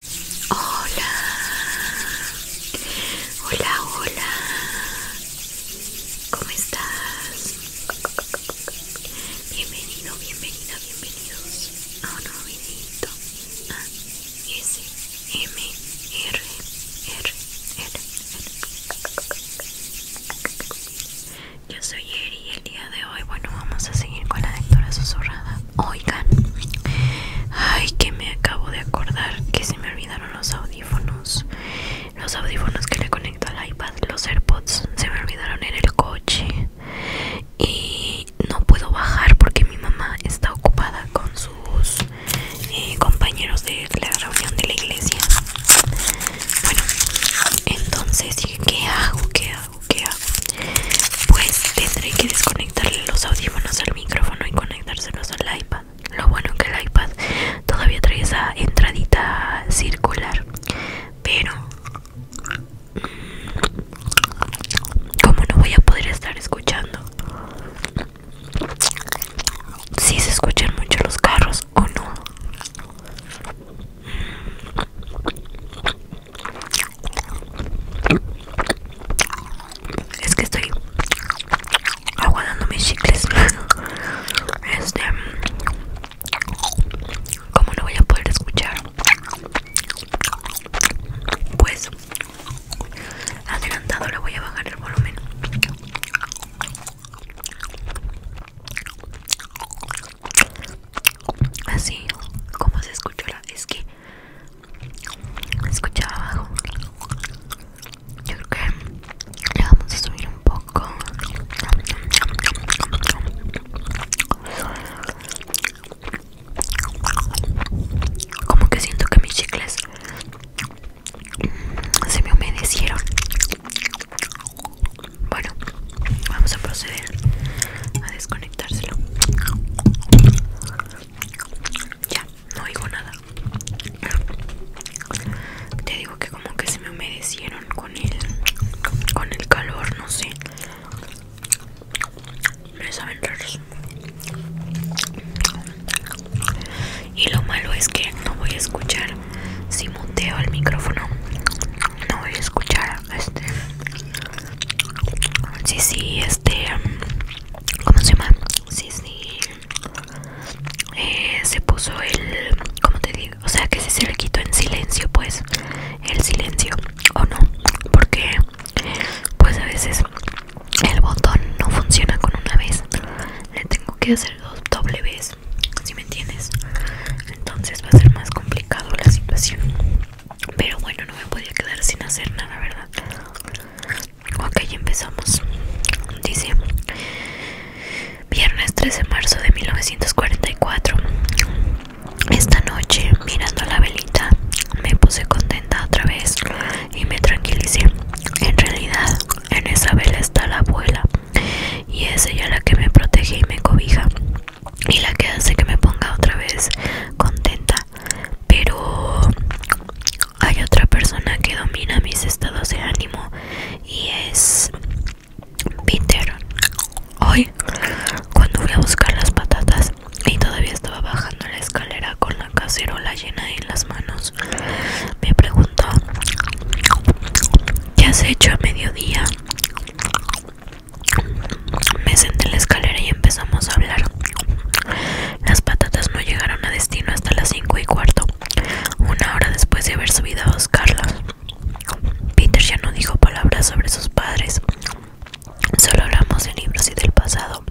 Hola, hola, hola, ¿cómo estás? Bienvenido, bienvenida, bienvenidos a un nuevo videito a ah, S R R Yo soy Eri y el día de hoy, bueno, vamos a seguir con la lectura susurrada. Oigan, ay que me acabo de acordar que se me olvidaron los audífonos. Los audífonos que le conecto al iPad, los AirPods, se me olvidaron en el coche. Y no puedo bajar porque mi mamá está ocupada con sus eh, compañeros de la reunión de la iglesia. Bueno, entonces, ¿qué hago? ¿Qué hago? ¿Qué hago? pues tendré que desconectarle los audífonos al micrófono y conectárselos al iPad. Lo bueno que el iPad todavía trae esa entradita circular, pero mm, como no voy a poder estar escuchando si se escuchan mucho los carros o no es que estoy aguantando mis chicles. Este, como lo voy a poder escuchar, pues adelantado le voy a bajar el volumen. Así como se escuchó es que escuchaba abajo yo creo que le vamos a subir un poco como que siento que mis chicles mm, se me humedecieron bueno vamos a proceder a desconectárselo ya, no digo nada. Te digo que como que se me humedecieron con el con el calor, no sé. Me saben raros. Y lo malo es que no voy a escuchar si muteo el micrófono. No voy a escuchar este. Sí, sí, este ¿Cómo se llama? Sí, sí. Eh, se puso el. ¿Cómo te digo? O sea, que si se le quitó en silencio, pues. El silencio. O no. Porque. Pues a veces. El botón no funciona con una vez. Le tengo que hacer dos doble vez. Si me entiendes. Entonces va a ser más complicado la situación. Pero bueno, no me podía quedar sin hacer nada, ¿verdad? Ok, empezamos. Dice, viernes 13 de marzo de 1944. Esta noche, mirando la velita, me puse contenta otra vez y me tranquilicé. En realidad, en esa vela está la abuela y es ella la que me protege y me cobija y la que hace que me ponga otra vez contenta pero hay otra persona que domina mis estados de ánimo y es Peter. Hoy, cuando fui a buscar las patatas y todavía estaba bajando la escalera con la cacerola llena en las manos, me preguntó, ¿qué has hecho a mediodía? Me senté en la escalera y empezamos a hablar. Las patatas no llegaron a destino hasta las 5 y cuarto, una hora después de haber subido a buscarlas. Peter ya no dijo palabras sobre sus padres. Solo hablamos de libros y del pasado.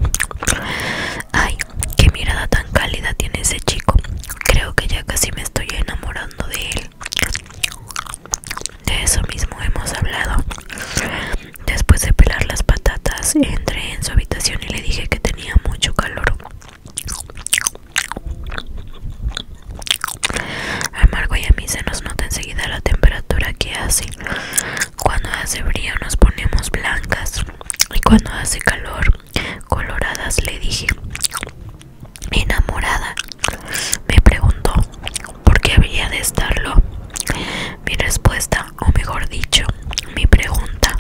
Ay, qué mirada tan cálida tiene ese chico. Creo que ya casi me estoy enamorando de él. De eso mismo hemos hablado. Después de pelar las patatas, entré en su habitación y le dije que tenía mucho calor. Amargo y a mí se nos nota enseguida la temperatura que hace. Cuando hace frío nos ponemos blancas y cuando hace calor, coloradas, le dije. Enamorada, me preguntó por qué había de estarlo. Mi respuesta, o mejor dicho, mi pregunta,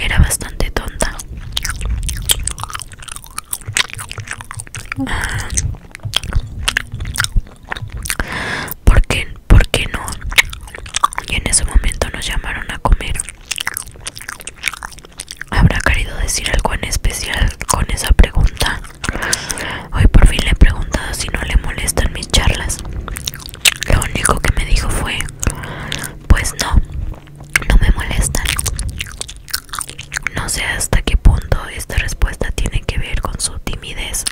era bastante tonta. Ah, ¿Por qué? ¿Por qué no? Y en ese momento nos llamaron a comer. ¿Habrá querido decir algo en especial con esa pregunta? Hoy por fin le he preguntado si no le molestan mis charlas. Lo único que me dijo fue, pues no, no me molestan. No sé hasta qué punto esta respuesta tiene que ver con su timidez.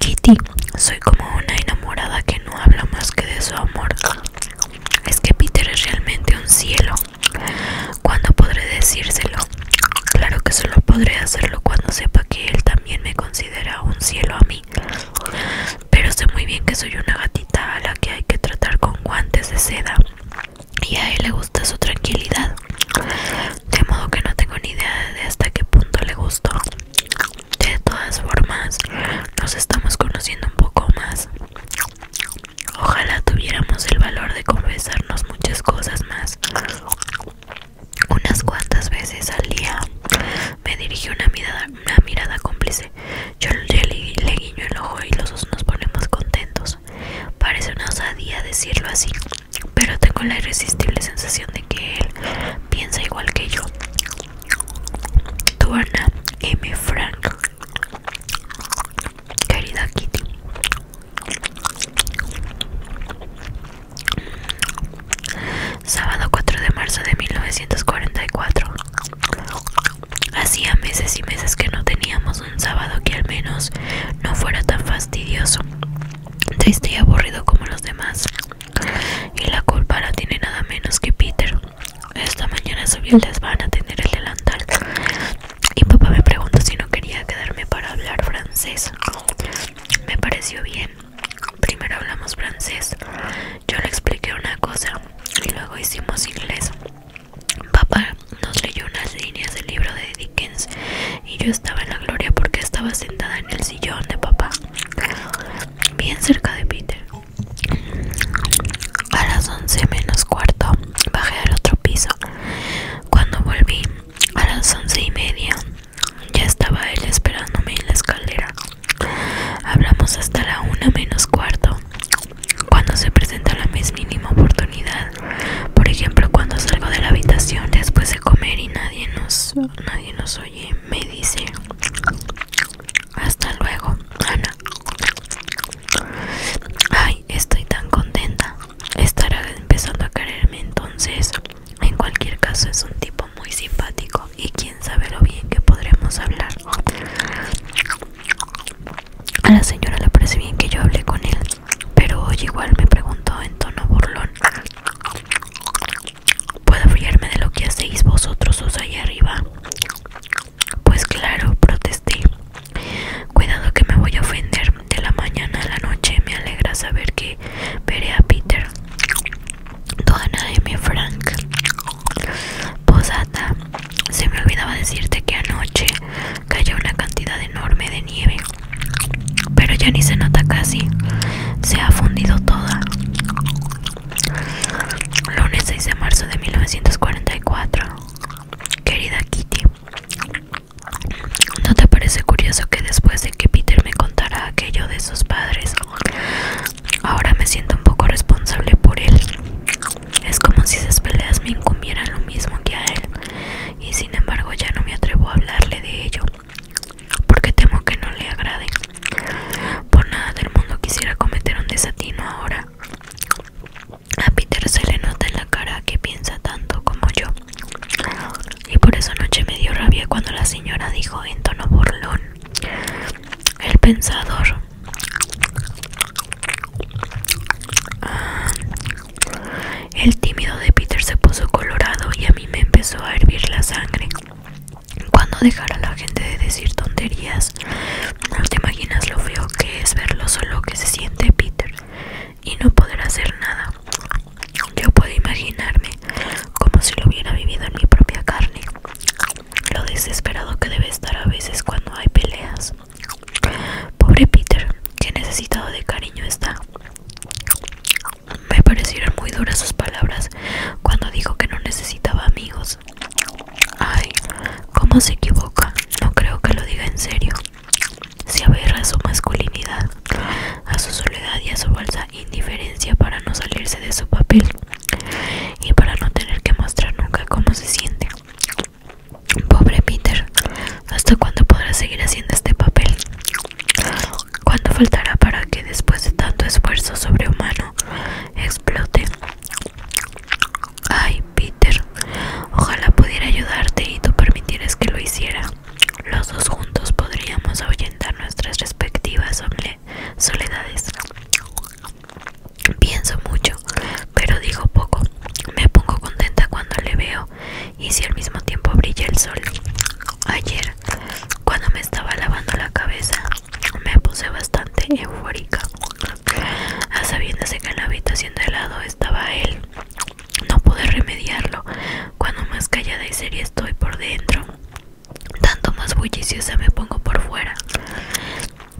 Kitty, soy como una enamorada que no habla más que de su amor. Es que Peter es realmente un cielo. ¿Cuándo podré decírselo? Claro que solo podré hacerlo cuando sepa que él también también me considera un cielo a mí. Pero sé muy bien que soy una gatita a la que hay que tratar con guantes de seda y a él le gusta su tranquilidad. De modo que no tengo ni idea de hasta qué punto le gustó. De todas formas, nos estamos conociendo un poco más. Ojalá tuviéramos el valor de confesarnos muchas cosas más. Unas cuantas veces al día me dirigió una mirada, una mirada cómplice. Yo le, le guiño el ojo y los dos nos ponemos contentos. Parece una osadía decirlo así, pero tengo la irresistible sensación de que él piensa igual que yo. Tuana M. Frank, querida Kitty. Sábado 4 de marzo de 1944. Hacía meses y meses que no teníamos un sábado que al menos no fuera tan fastidioso, triste y aburrido como los demás. Y la culpa la tiene nada menos que Peter. Esta mañana subí les van a tener el delantal y papá me preguntó si no quería quedarme para hablar francés. Me pareció bien. Primero hablamos francés, yo le expliqué una cosa y luego hicimos inglés. Papá nos leyó unas líneas del libro de Dickens y yo estaba en la gloria porque estaba sentada en el sillón de papá, bien cerca de Peter. A las 11 menos cuarto bajé al otro piso. Cuando volví a las once y media ya estaba él esperándome en la escalera. Hablamos hasta la una menos cuarto. Cuando se presenta la más mínima oportunidad, por ejemplo, cuando salgo de la habitación después de comer y nadie nos, nadie nos oye, me dice: Hasta luego, Ana. Ay, estoy tan contenta. Estará empezando a quererme entonces. En cualquier caso, es un tipo muy simpático y quién sabe lo bien que podremos hablar. A la señora le parece bien que yo hablé con él, pero hoy igual me preguntó en tono burlón. ¿Puedo fiarme de lo que hacéis vosotros os allá arriba? Pues claro, protesté. Cuidado que me voy a ofender. De la mañana a la noche me alegra saber que veré a Peter de mi Frank. Posata. Se me olvidaba decirte que anoche cayó una cantidad enorme de nieve. Pero ya ni se nota casi. Se ha fundido toda. Lunes 6 de marzo de 1944. Querida Kitty. ¿No te parece curioso que después de que Peter me contara aquello de sus padres, Ahora me siento un poco responsable por él. Es como si esas peleas me incumbieran lo mismo que a él. Y sin embargo ya no me atrevo a hablarle de ello. Porque temo que no le agrade. Por nada del mundo quisiera cometer un desatino ahora. A Peter se le nota en la cara que piensa tanto como yo y por esa noche me dio rabia cuando la señora dijo en tono burlón, el pensador. Ah, el tímido de Peter se puso colorado y a mí me empezó a hervir la sangre. Cuando dejar la gente de decir tonterías, no te imaginas lo feo que es ver lo solo que se siente Peter y no poder hacer nada. Yo puedo imaginarme como si lo hubiera vivido en mi propia carne, lo desesperado que debe estar a veces cuando hay peleas. Pobre Peter, que necesitado de cariño está. Me parecieron muy duras sus palabras cuando dijo que no necesitaba amigos. Ay, cómo se equivoca. No creo que lo diga en serio. Se aberra a su masculinidad, a su soledad y a su falsa indiferencia para no salirse de su papel y para no tener que mostrar nunca cómo se siente. Pobre Peter, ¿hasta cuándo podrá seguir haciendo este papel? ¿Cuándo faltará para que después de tanto esfuerzo sobrehumano explote? Ay, Peter, ojalá pudiera ayudarte y tú permitieras que lo hiciera. Los dos juntos podríamos ahuyentar nuestras respectivas soledades. Pienso mucho, pero digo poco. Me pongo contenta cuando le veo y si al mismo tiempo brilla el sol. Ayer, cuando me estaba lavando la cabeza, me puse bastante eufórica, a sabiéndose que en la habitación de lado estaba él. No pude remediarlo. Cuando más callada y seria estoy por dentro, tanto más bulliciosa me pongo por fuera.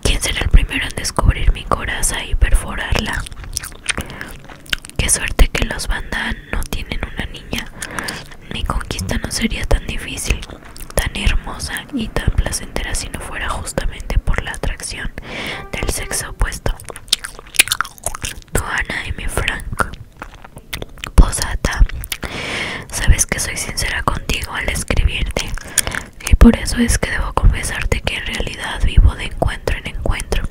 ¿Quién será el primero en descubrir mi coraza y perforarla? Qué suerte que los bandas no tienen una niña. Mi conquista no sería tan difícil, tan hermosa y tan placentera si no fuera justamente por la atracción del sexo opuesto. Tu Ana y mi Frank. Posata, sabes que soy sincera contigo al escribirte y por eso es que debo confesarte que en realidad vivo de encuentro en encuentro.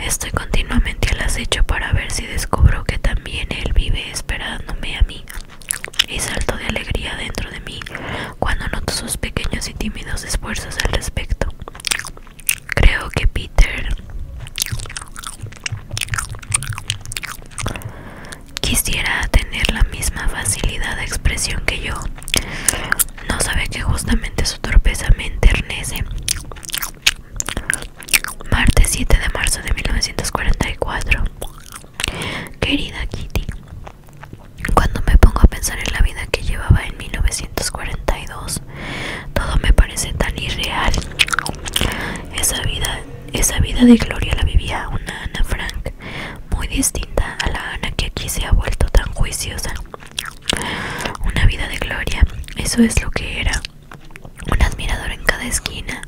Estoy continuamente al acecho para ver si descubro que también él vive esperándome a mí y salto de alegría dentro de mí cuando noto sus pequeños y tímidos esfuerzos al respecto. Creo que Peter Quisiera tener la misma facilidad de expresión que yo. No sabe que justamente su torpeza me enternece. Martes 7 de marzo de 1944. Querida Kitty, cuando me pongo a pensar en la vida que llevaba en 1942, todo me parece tan irreal. Esa vida esa vida de gloria la vivía una Ana Frank, muy distinta a la Ana que aquí se ha vuelto tan juiciosa. Una vida de gloria, eso es lo que era. Un admirador en cada esquina,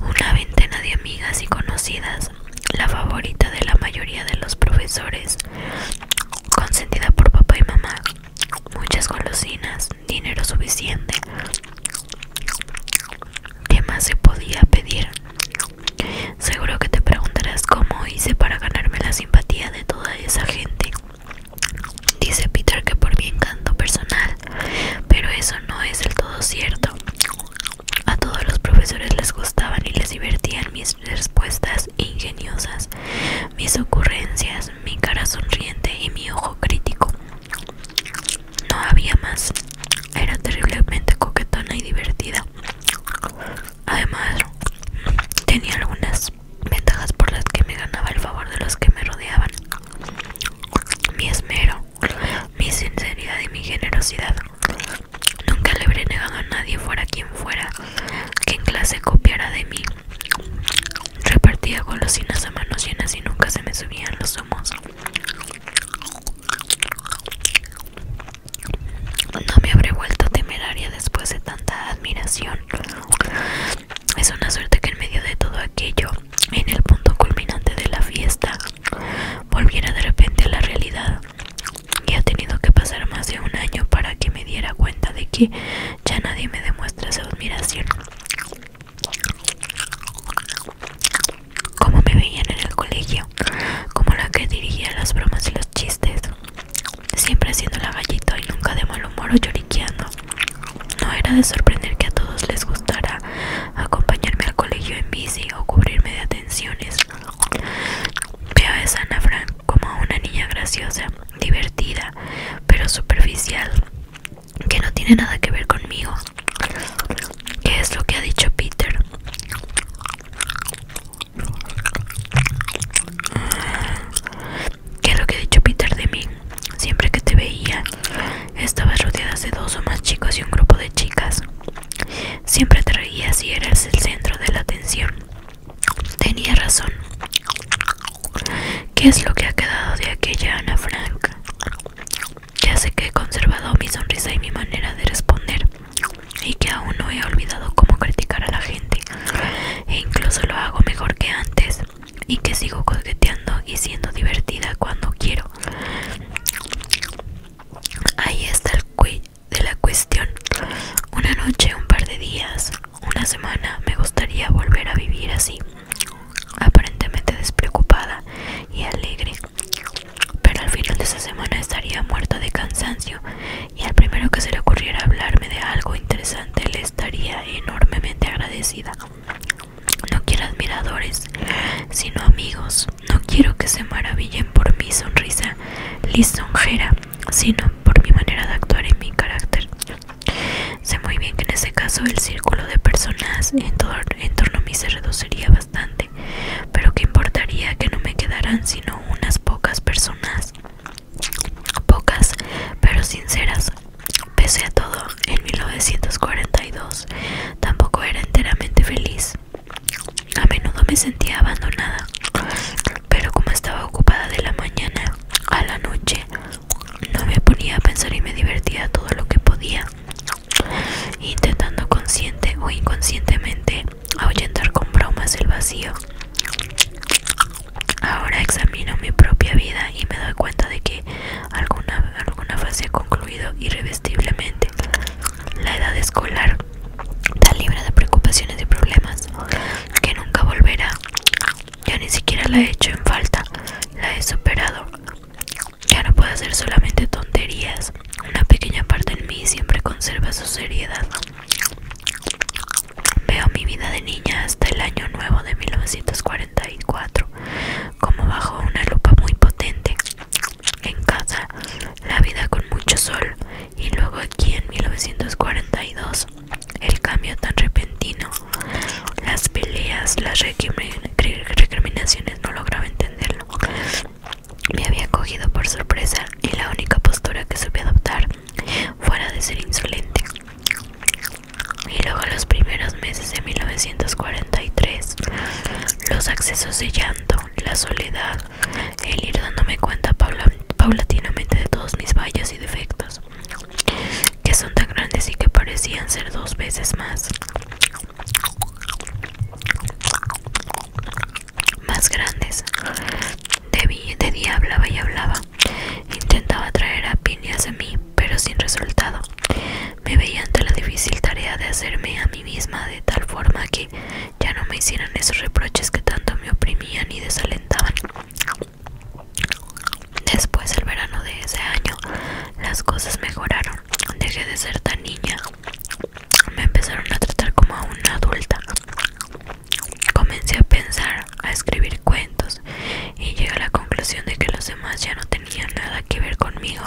una veintena de amigas y conocidas, la favorita de la mayoría de los profesores, consentida por papá y mamá, muchas golosinas, dinero suficiente ¿Qué más se podía pedir? Seguro que te preguntarás cómo hice para ganarme la simpatía de toda esa gente. Dice Peter que por mi encanto personal, pero eso no es del todo cierto. A todos los profesores les gustaban y les divertían mis respuestas ingeniosas, mis ocurrencias, mi cara sonriente y mi ojo crítico. No había más. Era terriblemente coquetona y divertida. Además, tenía algunas ventajas por las que me ganaba el favor de los que me rodeaban. Mi esmero, mi sinceridad y mi generosidad. Nunca le habré a nadie, fuera quien fuera, que en clase copiara de mí. Repartía golosinas a manos llenas y nunca se me subían los humos. No me habré vuelto temeraria después de tanta admiración. Es una suerte que en medio de todo aquello, en el punto culminante de la fiesta, volviera de repente a la realidad. Y ha tenido que pasar más de un año para que me diera cuenta de que ya nadie me demuestra su admiración. Como me veían en el colegio, como la que dirigía las bromas y los chistes, siempre haciendo la gallita y nunca de mal humor o lloriqueando. No era de sorprender que a todos les gustara acompañarme al colegio en bici o cubrirme de atenciones. Veo a esa Frank como una niña graciosa, divertida, pero superficial, que no tiene nada que ver conmigo. ¿Qué es lo que ha dicho Peter? ¿Qué es lo que ha dicho Peter de mí? Siempre que te veía, estabas rodeada de dos o más chicos y un grupo de chicas. Siempre te reías y eras el centro de la atención. Tenía razón. ¿Qué es lo que ha quedado de aquella Ana Frank? Ya sé que he conservado mi sonrisa y mi manera de responder y que aún no he olvidado cómo criticar a la gente e incluso lo hago mejor que antes y que sigo coqueteando y siendo divertida cuando quiero. Ahí está el cuello de la cuestión. Una noche, un par de días, una semana, me gustaría volver a vivir así aparentemente despreocupada y alegre, pero al final de esa semana estaría muerta de cansancio y al primero que se le ocurriera hablarme de algo interesante le estaría enormemente agradecida. No quiero admiradores, sino amigos. No quiero que se maravillen por mi sonrisa lisonjera, sino por mi manera de actuar en mi carácter. Sé muy bien que en ese caso el círculo de personas en, torno a mí se reduciría bastante, pero qué importaría que no me quedaran sino unas pocas personas, pocas pero sinceras. Pese a todo, en 1942 tampoco era enteramente feliz. A menudo me sentía abandonada, pero como estaba ocupada de la mañana a la noche, no me ponía a pensar y me divertía todo lo que podía intentando consciente o inconscientemente ahuyentar con bromas el vacío. Ahora examino mi propia vida y me doy cuenta de que alguna, alguna fase ha concluido irrevestiblemente. La edad escolar tan libre de preocupaciones y problemas que nunca volverá. Yo ni siquiera la he hecho en falta, la he superado. Ya no puedo hacer solamente tonterías. Una pequeña parte en mí siempre conserva su seriedad. Veo mi vida de niña hasta el año nuevo de 1944, como bajo una lupa muy potente. En casa, la vida con mucho sol, y luego aquí en 1942, el cambio tan repentino, las peleas, las, recriminaciones no lograba entenderlo. Me había cogido por sorpresa y la única postura que supe adoptar fuera de ser insolente. Y luego los primeros meses de 1943, los accesos de llanto, la soledad, el ir dándome cuenta paulatinamente de todos mis fallos y defectos, que son tan grandes y que parecían ser dos veces más más grandes. De, día hablaba y hablaba. Intentaba traer a de hacia mí, pero sin resultado. Me veía ante la difícil tarea de hacerme a mí misma de tal forma que ya no me hicieran esos reproches que tanto me oprimían y desalentaban. Después, el verano de ese año, las cosas mejoraron. Dejé de ser tan niña. Me empezaron a tratar como a una adulta. Comencé a pensar, a escribir cuentos y llegué a la conclusión de que los demás ya no tenían nada que ver conmigo.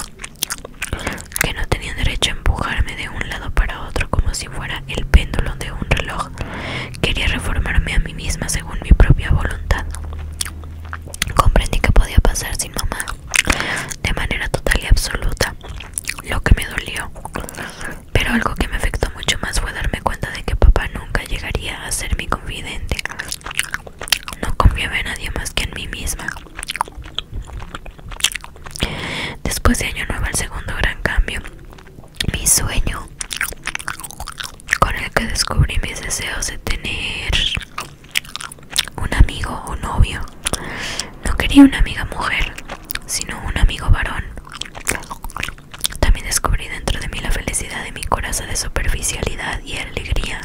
Que no tenían derecho a empujarme de un lado para otro como si fuera el péndulo de un reloj. Quería reformarme a mí misma según mi propia voluntad. Comprendí que podía pasar sin mamá de manera total y absoluta lo que me dolió. Pero algo que me afectó mucho más fue darme cuenta de que papá nunca llegaría a ser mi confidente. No confiaba en nadie más que en mí misma. Después de Año Nuevo, el segundo gran cambio, mi sueño con el que descubrí mis deseos de tener un amigo o novio. No quería una amiga mujer, sino un amigo varón. También descubrí dentro de mí la felicidad de mi corazón de superficialidad y alegría.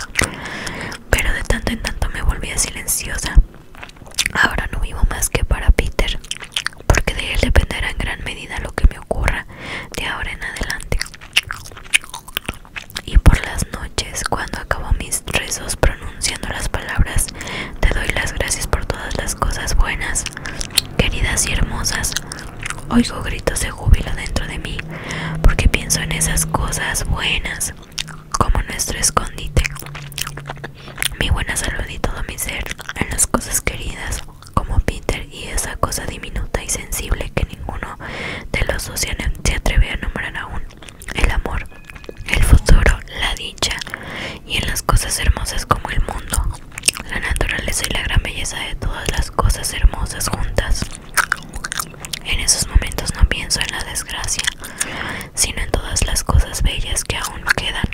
Pero de tanto en tanto me volvía silenciosa. Ahora no vivo más que para Peter, porque de él dependerá en gran medida lo que me ocurra de ahora en adelante. Y por las noches, cuando acabo mis rezos pronunciando las palabras, te doy las gracias por todas las cosas buenas, queridas y hermosas. Oigo gritos de júbilo dentro de mí, porque pienso en esas cosas buenas, como nuestro escondite, mi buena salud y todo mi ser, en las cosas queridas, como Peter y esa cosa diminuta y sensible que ninguno de los dos se atreve a nombrar aún el amor, el futuro, la dicha y en las cosas hermosas como el mundo, la naturaleza y la gran belleza de todas las cosas hermosas juntas. En esos momentos no pienso en la desgracia, sino en todas las cosas bellas que aún quedan.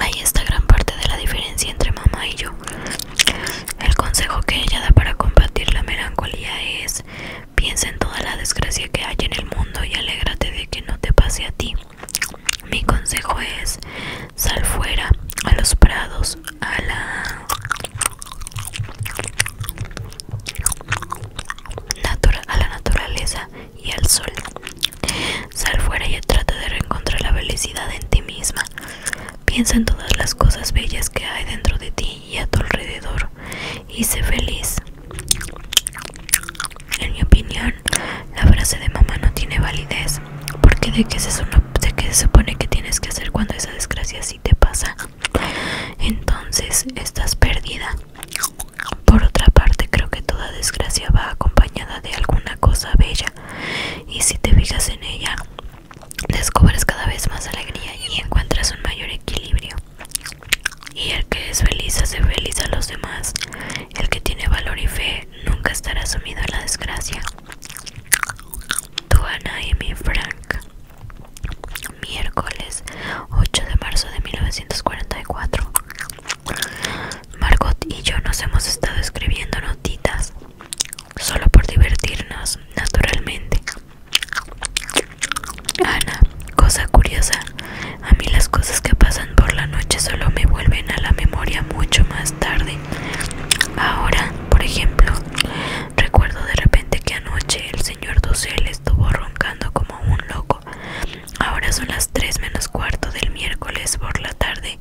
Ahí está gran parte de la diferencia entre mamá y yo. El consejo que ella da para combatir la melancolía es Piensa en toda la desgracia que hay en el mundo y alégrate de que no te pase a ti. Mi consejo es, sal fuera, a los prados, a la la naturaleza y al sol. Sal fuera y trata de reencontrar la felicidad en ti misma. Piensa en todas las cosas bellas que hay dentro de ti y a tu alrededor y sé feliz. En mi opinión, la frase de mamá no tiene validez, porque de qué se, de qué se supone que tienes que hacer cuando esa desgracia sí te pasa. Entonces estás perdida. Por otra parte, creo que toda desgracia va acompañada de alguna cosa bella, y si te fijas en ella, descubres cada vez más alegría y encuentras un mayor equilibrio. Y el que es feliz hace feliz a los demás. El que tiene valor y fe nunca estará sumido en la desgracia. Tu y mi Frank. Miércoles 8 de marzo de 1944. Margot y yo nos hemos estado escribiendo notitas. Solo por divertirnos, naturalmente. Ana, cosa curiosa, a mí las cosas que pasan por la noche solo me vuelven a la memoria mucho más tarde. Ahora, por ejemplo, recuerdo de repente que anoche el señor Dussel estuvo roncando como un loco. Ahora son las 3 menos cuarto del miércoles por la tarde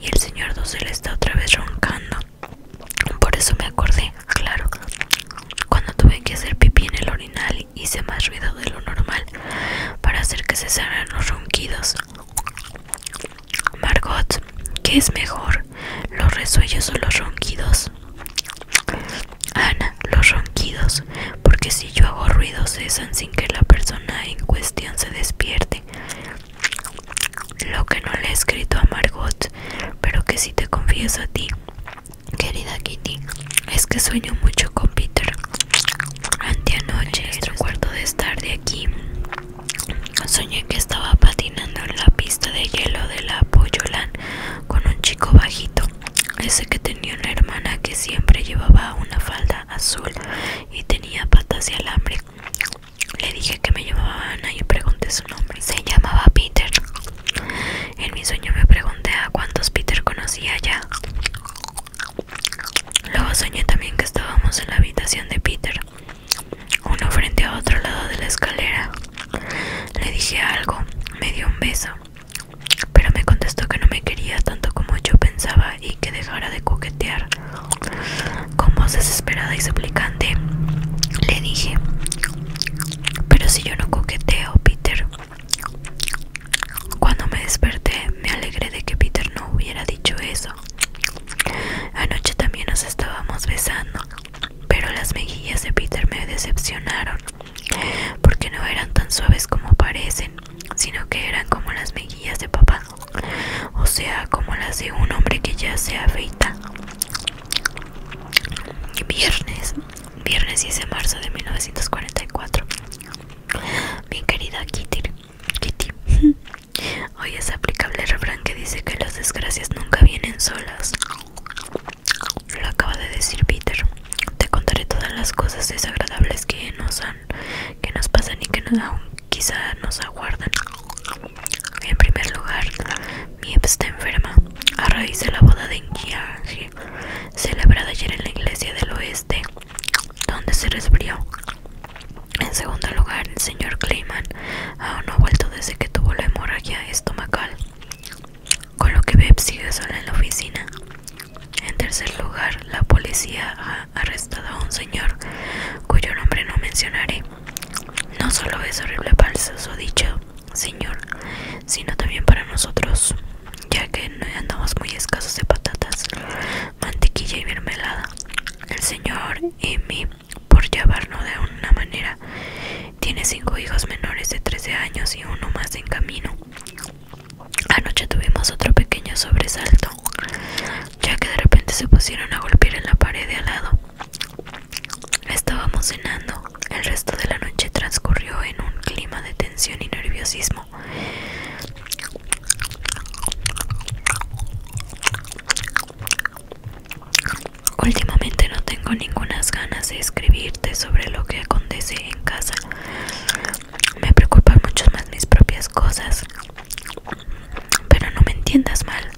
y el señor Dussel está otra vez roncando. Por eso me acordé, claro. Cuando tuve que hacer pipí en el orinal, hice más ruido de lo normal para hacer que cesaran los ronquidos. Margot, ¿qué es mejor? ¿Los resuellos o los ronquidos? Ana, los ronquidos, porque si yo hago ruido cesan sin que la persona en cuestión se despierte. Lo que no le he escrito a Margot, pero que sí te confieso a ti, Querida Kitty, es que sueño mucho con Peter. en nuestro cuarto de estar de aquí, soñé que estaba patinando en la pista de hielo de la Poyolan con un chico bajito, ese que tenía una hermana que siempre llevaba una falda azul y tenía patas de alambre. Le dije que me llamaba Ana y pregunté su nombre. Se llamaba Peter. En mi sueño me pregunté a cuántos Peter conocía ya. Luego soñé también que estábamos en la habitación de Peter, uno frente a otro lado de la escalera. Le dije algo, me dio un beso, pero me contestó que no me quería tanto como yo pensaba y que dejara de coquetear. Con voz desesperada y suplicante, le dije, pero si yo no coqueteo, Peter. Cuando me desperté, me alegré de que Peter no hubiera dicho eso. Anoche también nos estábamos besando, pero las mejillas de Peter me decepcionaron, porque no eran tan suaves como parecen, sino que eran como las mejillas de papá, o sea, como las de un hombre que ya se afeita. Viernes Viernes 10 de marzo de 1944. Bien querida Kitty, Hoy es aplicable el refrán que dice que las desgracias nunca vienen solas. Lo acaba de decir Peter. Te contaré todas las cosas desagradables que nos han, que nos pasan y que aún quizá nos aguardan. En primer lugar, Miep está enferma a raíz de la boda de Njiang, celebrada ayer en la iglesia del oeste, donde se resfrió. En segundo lugar, el señor Clayman aún no ha vuelto desde que tuvo la hemorragia estomacal, con lo que Miep sigue sola en la oficina. En tercer lugar, la policía ha arrestado a un señor cuyo nombre no mencionaré. No solo es horrible falso dicho, Señor, sino también para nosotros, ya que andamos muy escasos de patatas, mantequilla y mermelada. El Señor y por llevarnos de una manera, tiene cinco hijos menores de 13 años y uno más en camino. Anoche tuvimos otro pequeño sobresalto, ya que de repente se pusieron a golpear en la pared de al lado. Estábamos cenando. El resto de la noche transcurrió en un clima de tensión y nerviosismo. Últimamente no tengo ninguna ganas de escribirte sobre lo que acontece en casa. Me preocupan mucho más mis propias cosas. Pero no me entiendas mal,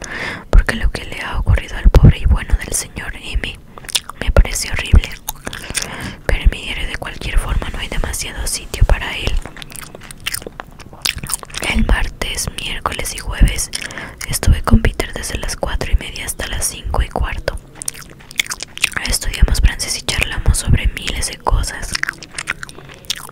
porque lo que le ha ocurrido al pobre y bueno del señor M me parece horrible. Pero en mi de cualquier forma no hay demasiado sitio para él. El martes, miércoles y jueves estuve con Peter desde las 4 y media hasta las 5 y cuarto. Estudiamos francés y charlamos sobre miles de cosas.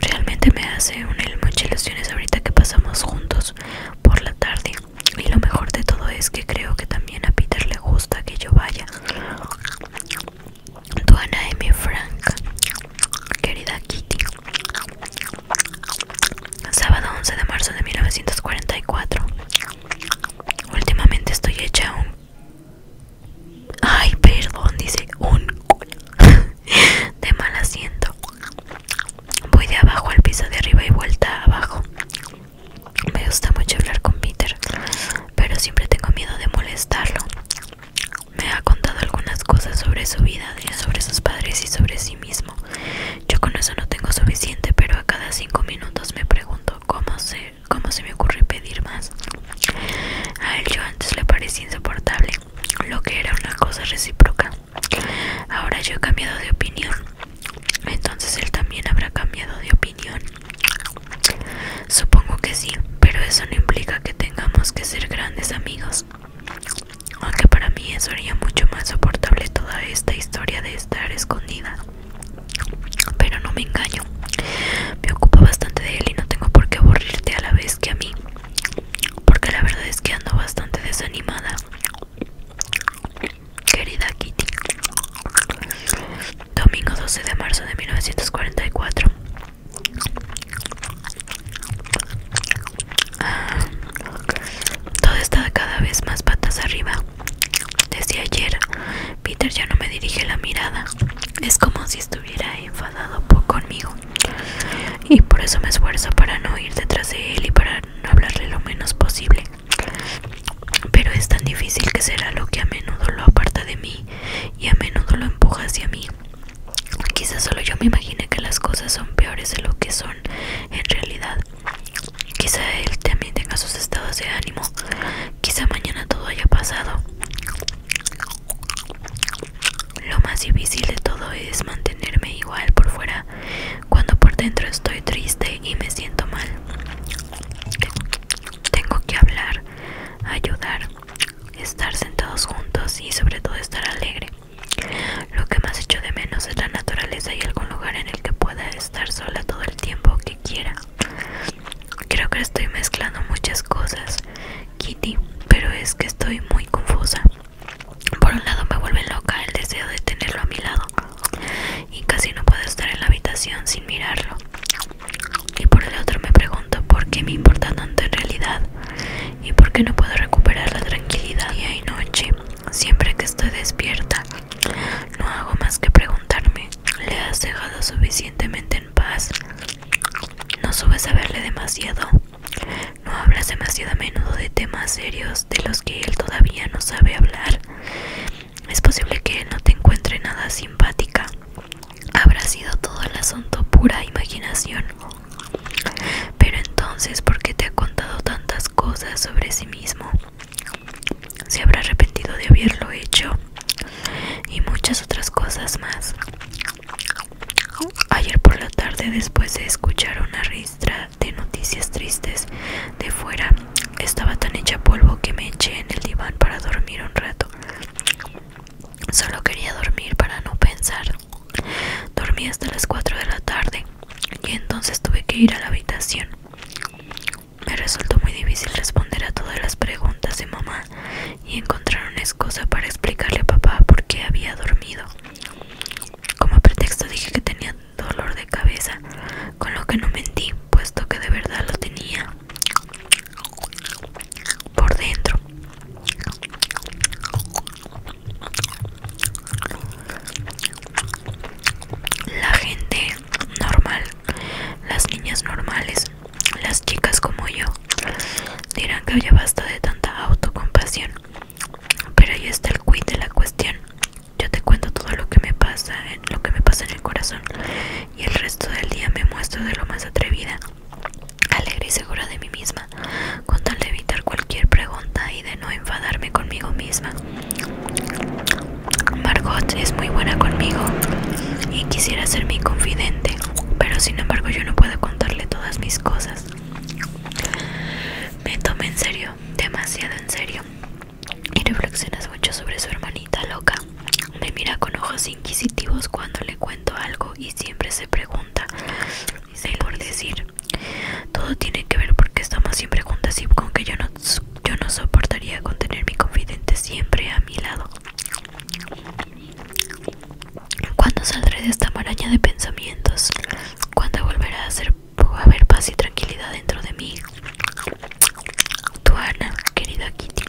Realmente me hace una ilusiones ahorita que pasamos juntos por la tarde. Y lo mejor de todo es que creo que también a Peter le gusta que yo vaya. Tu mi Frank, querida Kitty. Sábado 11 de marzo de 1944. Últimamente estoy hecha un... Ay, perdón, dice un... de mal asiento. Voy de abajo al piso de arriba y vuelta abajo. Me gusta mucho hablar con Peter, pero siempre tengo miedo de molestarlo. Me ha contado algunas cosas sobre su vida, sobre sus padres y sobre sí mismo. Yo con eso no tengo suficiente, pero a cada cinco minutos me pregunto cómo se, cómo se me ocurre pedir más. A él yo antes le parecía insoportable, lo que era una cosa recíproca. Ahora yo he cambiado de opinión. Entonces él también habrá cambiado de opinión. Supongo que sí, pero eso no implica que tengamos que ser grandes amigos. Aunque para mí eso haría mucho más soportable toda esta historia de estar escondida. Pero no me engaño. Me ocupo bastante de él y no tengo por qué aburrirte a la vez que a mí. Porque la verdad es que ando bastante desanimada. Querida Kitty. Domingo 12 de marzo de 1944. Ah, todo está cada vez más patas arriba. Desde ayer, Peter ya no me dirige la mirada. Es como si estuviera enfadado conmigo. Y por eso me esfuerzo para no ir detrás de él y para no hablarle lo menos posible. Pero es tan difícil que será lo que a menudo lo aparta de mí y a menudo lo empuja hacia mí. Quizás solo yo me imagine que las cosas son peores de lo que son en realidad. Quizá él también tenga sus estados de ánimo. Quizá mañana todo haya pasado. Lo más difícil de todo es mantenerme igual por fuera cuando por dentro estoy triste y me siento mal. Tengo que hablar, ayudar, estar sentados juntos y sobre todo estar alegre. Lo que más echo de menos es la naturaleza y algún lugar en el que pueda estar sola todo el tiempo que quiera. Creo que estoy mezclando muchas cosas, Kitty, pero es que estoy muy confusa. Por un lado me vuelve loca el deseo de tenerlo a mi lado y casi no puedo estar en la habitación sin mirarlo. Y por el otro me pregunto por qué me importa tanto en realidad y por qué no puedo recuperar la tranquilidad día y noche. Siempre que estoy despierta, no hago más que preguntarme, ¿le has dejado suficientemente en paz? No subes a verle demasiado. No hablas demasiado a menudo de temas serios de los que él todavía no sabe hablar. Es posible que no te encuentre nada simpática. Habrá sido todo el asunto pura imaginación. Pero entonces, ¿por qué te ha contado tantas cosas sobre sí mismo? Se habrá arrepentido de haberlo hecho y muchas otras cosas más. Ayer por la tarde, después de escuchar una ristra de noticias tristes de fuera, estaba tan hecha polvo que me eché en el diván para dormir un rato. Solo quería dormir para no pensar. Dormí hasta las 4 de la tarde y entonces tuve que ir a la habitación. Me resultó muy difícil responder a todas las preguntas de mamá y encontrar una excusa para explicarle a papá por qué había dormido. Como pretexto dije que tenía dolor de cabeza, con lo que no mentí, puesto que de verdad lo tenía por dentro. La gente normal, las niñas normales, las chicas como yo, dirán que ya basta de tanta autocompasión. Pero ahí está el quid de la cuestión. Yo te cuento todo lo que me pasa, lo que me pasa en el corazón, y el resto del día me muestro de lo más atrevida, alegre y segura de mí misma, con tal de evitar cualquier pregunta y de no enfadarme conmigo misma. Margot es muy buena conmigo y quisiera ser mi confidente, pero sin embargo yo no puedo contarle todas mis cosas. Me tomé en serio, demasiado en serio, y reflexionas mucho sobre su hermanita loca. Me mira con ojos inquisitivos cuando le cuento algo y siempre se pregunta, por decir, todo tiene que ver porque estamos siempre juntas y con que yo no, yo no soportaría con tener mi confidente siempre a mi lado. ¿Cuándo saldré de esta maraña de pensamientos? ¿Cuándo volverá a, a haber paz y tranquilidad dentro de mí? Tuana, querida Kitty.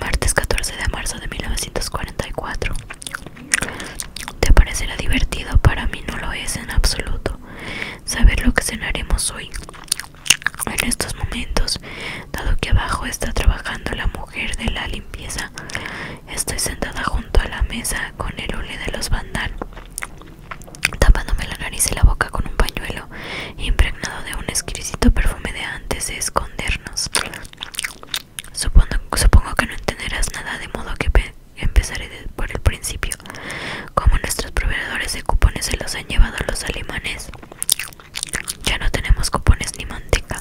Martes 14 de marzo de 1944. Te parecerá divertido, para mí no lo es en absoluto. Saber lo que cenaremos hoy. En estos momentos, dado que abajo está trabajando la mujer de la limpieza, estoy sentada junto a la mesa con el hule de los bandan tapándome la nariz y la boca con un pañuelo impregnado de un exquisito perfume de antes de escondernos. Supongo, que no entenderás nada, de modo que empezaré por el principio. Como nuestros proveedores de cupones se los han llevado los alemanes, ya no tenemos cupones ni manteca.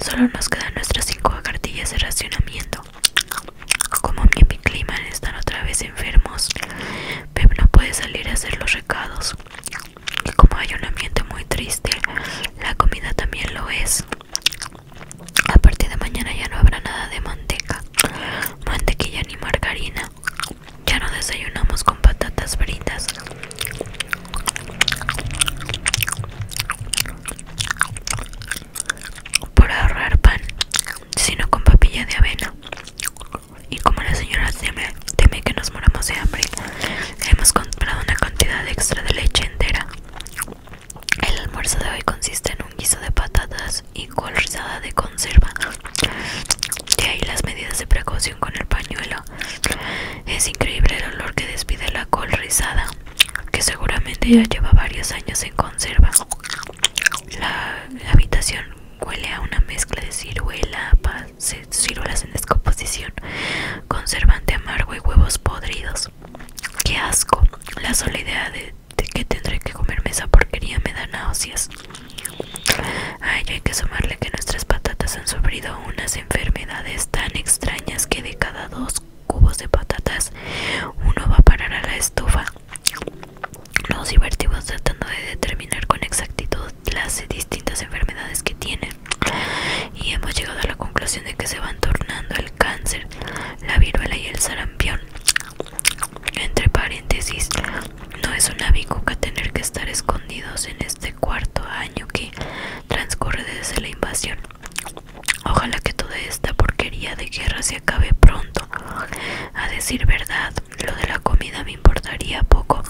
Solo nos quedan nuestras cinco cartillas de racionamiento. Como mi clima están otra vez enfermos, Pep no puede salir a hacer los recados. Y como hay un ambiente muy triste, la comida también lo es. A partir de mañana ya no habrá nada de manteca, mantequilla ni margarina. Ya no desayunamos con patatas fritas. Por ahorrar pan, sino con papilla de avena y como la señora teme, que nos moramos de hambre, hemos comprado una cantidad extra de leche entera. El almuerzo de hoy consiste en un guiso de patatas y col rizada de conserva. Y ahí las medidas de precaución con el pañuelo. Es increíble el olor que despide la col rizada, que seguramente ya lleva varios años en conserva. La habitación Huele a una mezcla de ciruela, ciruelas en descomposición, conservante amargo y huevos podridos. ¡Qué asco! La sola idea de, que tendré que comerme esa porquería me da náuseas. A ello hay que sumarle que nuestras patatas han sufrido unas enfermedades tan extrañas que de cada dos cubos de patatas uno va a parar a la estufa. Los divertimos tratando de determinar con exactitud las distintas enfermedades que tienen y hemos llegado a la conclusión de que se van tornando el cáncer, la viruela y el sarampión. Entre paréntesis, no es una bicuca tener que estar escondidos en este cuarto año que transcurre desde la invasión. Ojalá que toda esta porquería de guerra se acabe pronto. A decir verdad, lo de la comida me importaría poco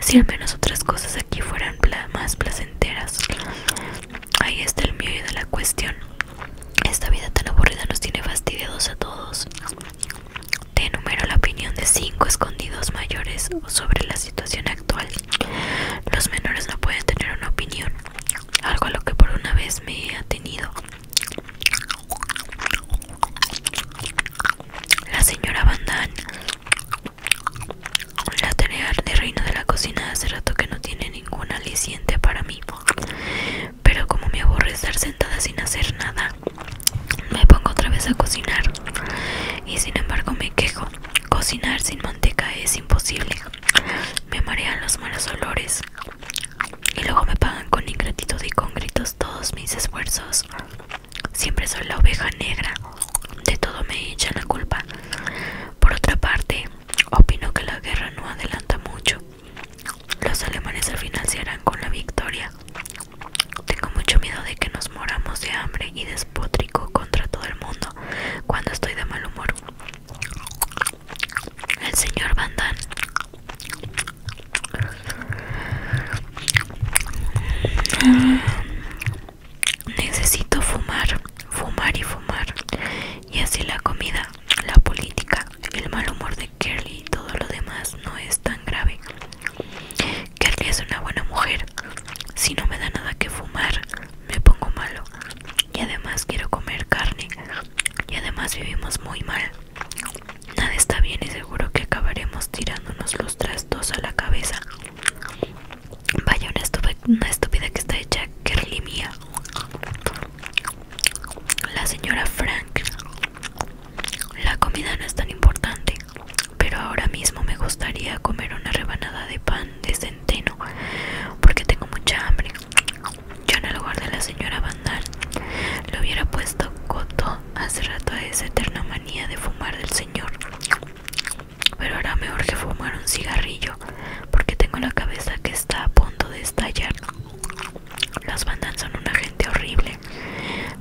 si al menos otras cosas aquí fueran más placenteras. Ahí está el mío de la cuestión. Esta vida tan aburrida nos tiene fastidiados a todos. Te enumero la opinión de cinco escondidos mayores sobre la situación actual. Los menores no pueden tener una opinión, algo a lo que por una vez me he atenido. La señora Bandan. La tarea de reino de la cocina hace rato que no tiene ninguna aliciente para mí. Pero como me aburre estar sentada sin hacer nada, me pongo otra vez a cocinar. Y sin embargo me quejo. Cocinar sin manteca es imposible. Me marean los malos olores. Y luego me pagan con ingratitud y con gritos todos mis esfuerzos. Siempre soy la oveja negra. De todo me echan la culpa. Por otra parte, opino que la guerra no adelanta mucho. Los alemanes al final se financiarán con la victoria. Tengo mucho miedo de que nos moramos de hambre y despótrico contra todo el mundo cuando estoy de mal humor. El señor Van Damme Necesito fumar, fumar y fumar. Y así la comida, la política, el mal humor de Kelly y todo lo demás no es tan grave. Kirly es una buena mujer. Si no me da nada que fumar, me pongo malo. Y además quiero comer carne. Y además vivimos muy mal. Nada está bien y seguro que acabaremos tirándonos los trastos a la cabeza. Vaya una, estúpida que está hecha que La señora Frank. La comida no es tan importante, pero ahora mismo me gustaría comer una rebanada de pan de centeno porque tengo mucha hambre. Yo en el lugar de la señora Vandal lo hubiera puesto coto hace rato a esa eterna manía de fumar del señor. Pero ahora mejor urge fumar un cigarrillo porque tengo la cabeza que está a punto de estallar. Los bandas son una gente horrible.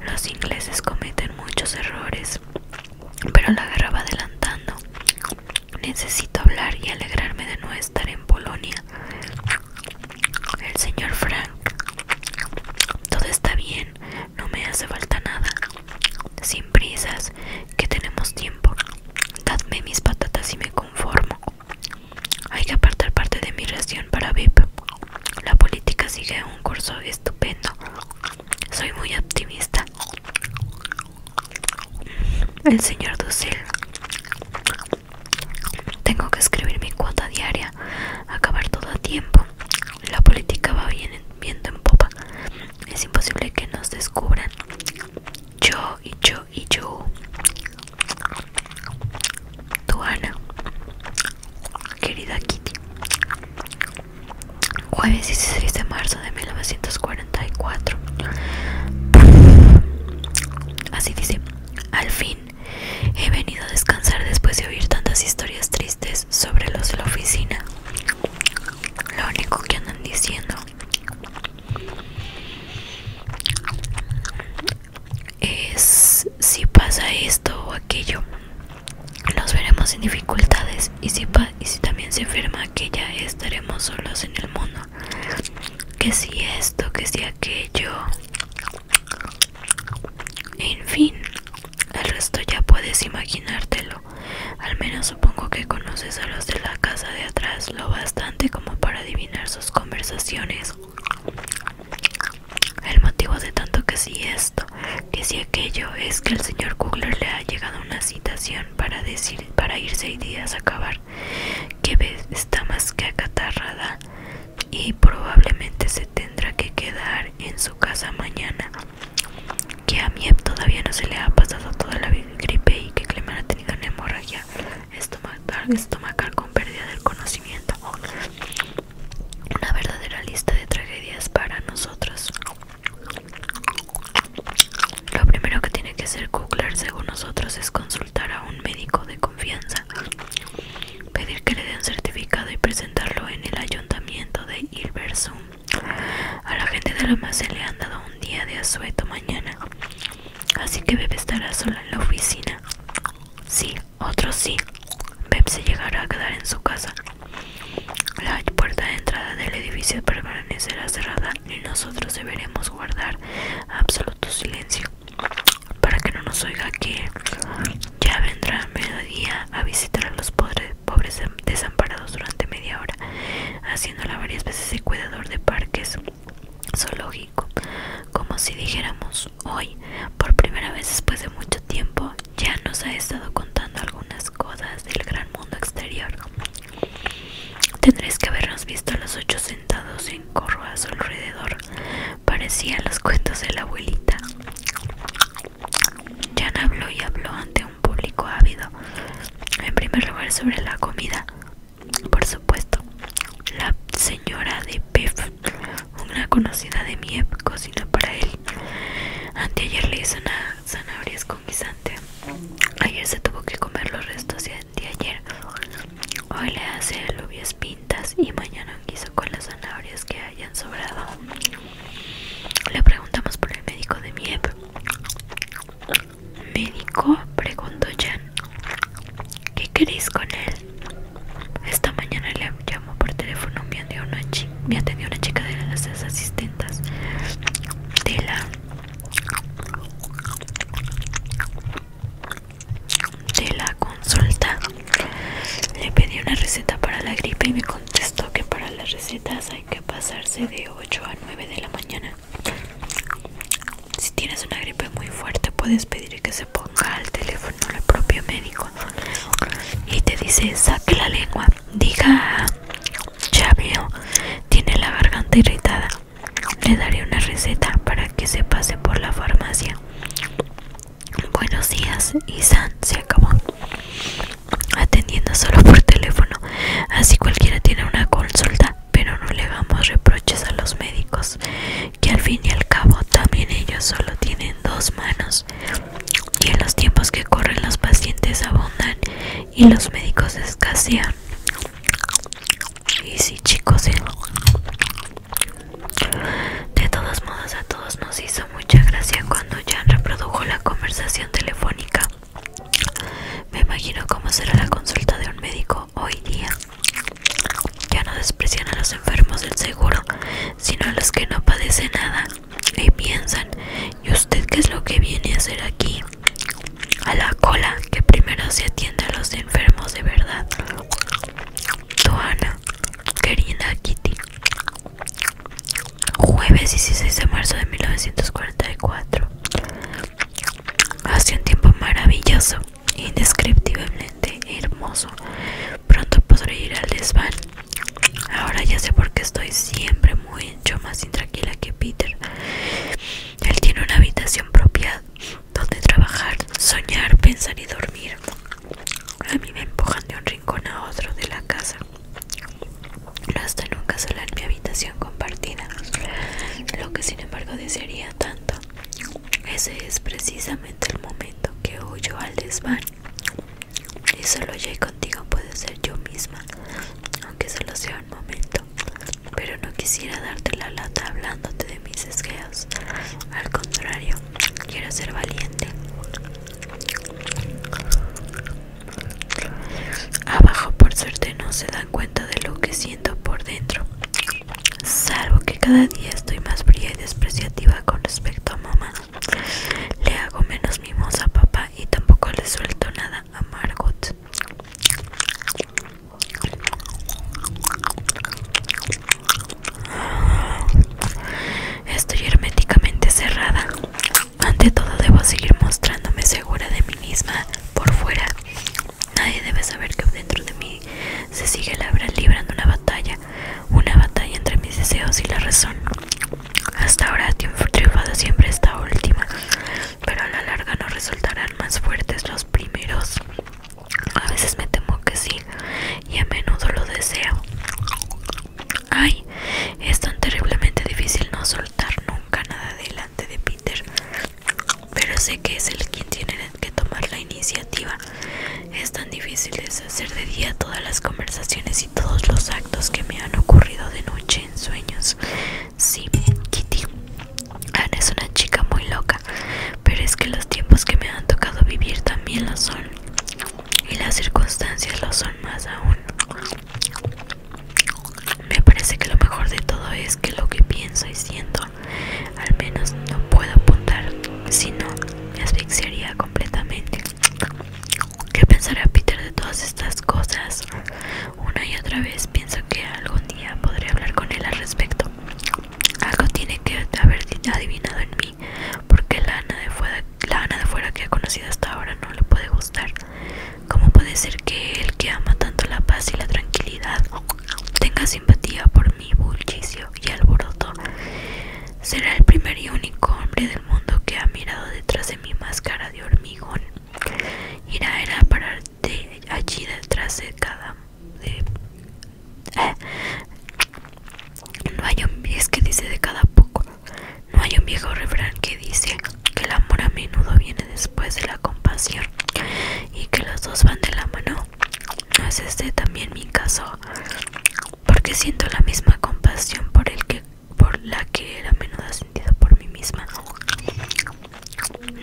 Los ingleses cometen muchos errores, pero la guerra va adelantando. Necesito hablar y alegrarme de no estar en Polonia. El señor Frank. Todo está bien, no me hace falta nada. Sin prisas, que tenemos tiempo. Dadme mis patatas y me conformo. Hay que apartar parte de mi reacción para VIP. La política sigue un curso estupendo. Soy muy optimista. El señor Dussel. Tengo que escribir mi cuota diaria, acabar todo a tiempo. La política va bien, en popa. Es imposible que nos descubran. Yo y yo y yo. Tu Ana, querida Kitty. Jueves 16 de marzo de 1944. Así dice, al fin He venido a descansar después de oír tantas historias tristes sobre los de la oficina. Lo único que andan diciendo es si pasa esto o aquello. Nos veremos en dificultades y si, y si también se enferma aquella estaremos solos en el mundo. Que si esto, que si aquello. En fin, el resto ya puedes imaginártelo. Al menos supongo que conoces a los de la casa de atrás lo bastante como para adivinar sus conversaciones. El motivo de tanto que si sí esto, que si aquello, es que el señor Kugler le ha llegado una citación para decir para irse seis días a acabar. Que ves, está más que acatarrada y probablemente se tendrá que quedar en su casa mañana. Que a Miep todavía no se le ha pasado toda la gripe y que Clemen ha tenido hemorragia estomacal, con pérdida del conocimiento. Una verdadera lista de tragedias para nosotros. Lo primero que tiene que hacer Kugler según nosotros es consultar a un médico de confianza pedir que le dé un certificado y presentarlo en el ayuntamiento de Hilversum. A la gente de la se le han dado un día de asueto mañana, así que Beb estará sola en la oficina. Sí, otro sí. Beb se llegará a quedar en su casa. La puerta de entrada del edificio permanecerá cerrada y nosotros deberemos guardar absoluto silencio para que no nos oiga que ya vendrá mediodía a visitar a los pobres, em, desamparados durante media hora, haciéndola varias veces de cuidador de parques zoológico, como si dijéramos hoy, por primera vez después de mucho tiempo, ya nos ha estado contando algunas cosas del gran mundo exterior. Tendréis que habernos visto a los ocho sentados en corro a su alrededor, Parecían los cuentos de la abuelita. Jan habló y habló ante un público ávido. En primer lugar sobre la comida. Por supuesto, la señora de Pef, una conocida de Miep, cocina para él. Anteayer le hizo una zanahoria con Ayer se tuvo que comer los restos de anteayer. Hoy le hace el obvio y mañana quiso con las zanahorias que hayan sobrado. Le preguntamos por el médico de Miep. ¿Médico? preguntó Jan. ¿Qué queréis con él? Esta mañana le llamó por teléfono, me atendió una, me atendió una chica de las asistentas de la de la consulta le pedí una receta para la gripe y me contestó que para las recetas hay que pasarse de 8 a 9 de la mañana. Si tienes una gripe muy fuerte puedes pedir que se ponga al teléfono el propio médico y te dice saque la lengua, diga ya tiene la garganta irritada, le daré una receta para que se pase por la farmacia. Buenos días, Isan se acabó. Atendiendo solo por teléfono. Así cualquiera tiene una consulta, pero no le hagamos reproches a los médicos, que al fin y al cabo también ellos solo tienen dos manos. Y en los tiempos que corren los pacientes abundan y los médicos escasean. Y sí, chicos, ¿eh? De todos modos, a todos nos hizo mucha gracia cuando Jan reprodujo la conversación telefónica. Me imagino cómo será la consulta de un médico hoy día. Ya no desprecian a los enfermos del seguro, sino a los que no padecen nada y piensan, ¿y usted qué es lo que viene a hacer aquí? A la cola, que primero se atiende a los enfermos de verdad. Doña, querida Kitty, Jueves 16 de marzo de 1944. Hace un tiempo maravilloso, indescriptiblemente hermoso. Pronto podré ir al desván. Ahora ya sé por qué estoy siempre mucho más intranquila que Peter. Él tiene una habitación propia donde trabajar, soñar, pensar y dormir. A mí me empujan de un rincón a otro de la casa. hasta nunca sola en mi habitación compartida. Lo que sin embargo desearía tanto. Ese es precisamente el momento que huyo al desván. Y solo yo y contigo puede ser yo misma. Aunque solo sea un momento. Pero no quisiera darte la lata hablándote de mis esqueos. Al contrario, quiero ser valiente. Abajo por suerte no se dan cuenta de lo que siento por dentro. Salvo que cada día estoy más fría y despreciativa con respecto a mamá. Le hago menos mimos a papá y tampoco le suelto nada a Margot. Estoy herméticamente cerrada. Ante todo debo seguir mostrándome segura de mí misma por fuera. Nadie debe saber que dentro de mí se sigue librando una batalla, una batalla entre mis deseos y la razón. Hasta ahora he triunfado siempre esta última, pero a la larga no resultarán más fuertes los primeros. A veces me temo que sí, y a menudo lo deseo. Ay, es tan terriblemente difícil no soltar nunca nada delante de Peter. Pero sé que es él quien tiene que tomar la iniciativa. Es tan difícil deshacer de día todas las conversaciones y todos los actos que me han ocurrido de noche en sueños. Sí, Kitty. Ana es una chica muy loca, pero es que los tiempos que me han tocado vivir también lo son y las circunstancias lo son más aún. Me parece que lo mejor de todo es que lo que pienso y siento, al menos no puedo apuntar, sino me asfixiaría completamente. ¿Qué pensará Peter de todas estas cosas? Una y otra vez pienso que algún día podré hablar con él al respecto. Algo tiene que haber adivinado en mí porque la Ana de fuera, la de fuera que ha conocido hasta ahora no le puede gustar. ¿Cómo puede ser que el que ama tanto la paz y la tranquilidad tenga simpatía por mi bullicio y alboroto? Será el primer y único hombre del mundo que ha mirado detrás de mi máscara de hormigón. Irá a parar allí detrás de cada... De, eh? no hay, es que dice de cada poco. No hay un viejo refrán que dice que el amor a menudo viene después de la compasión y que los dos van de la mano. No es este también mi caso, porque siento la misma compasión por el que por la que a menudo sentido por mí misma.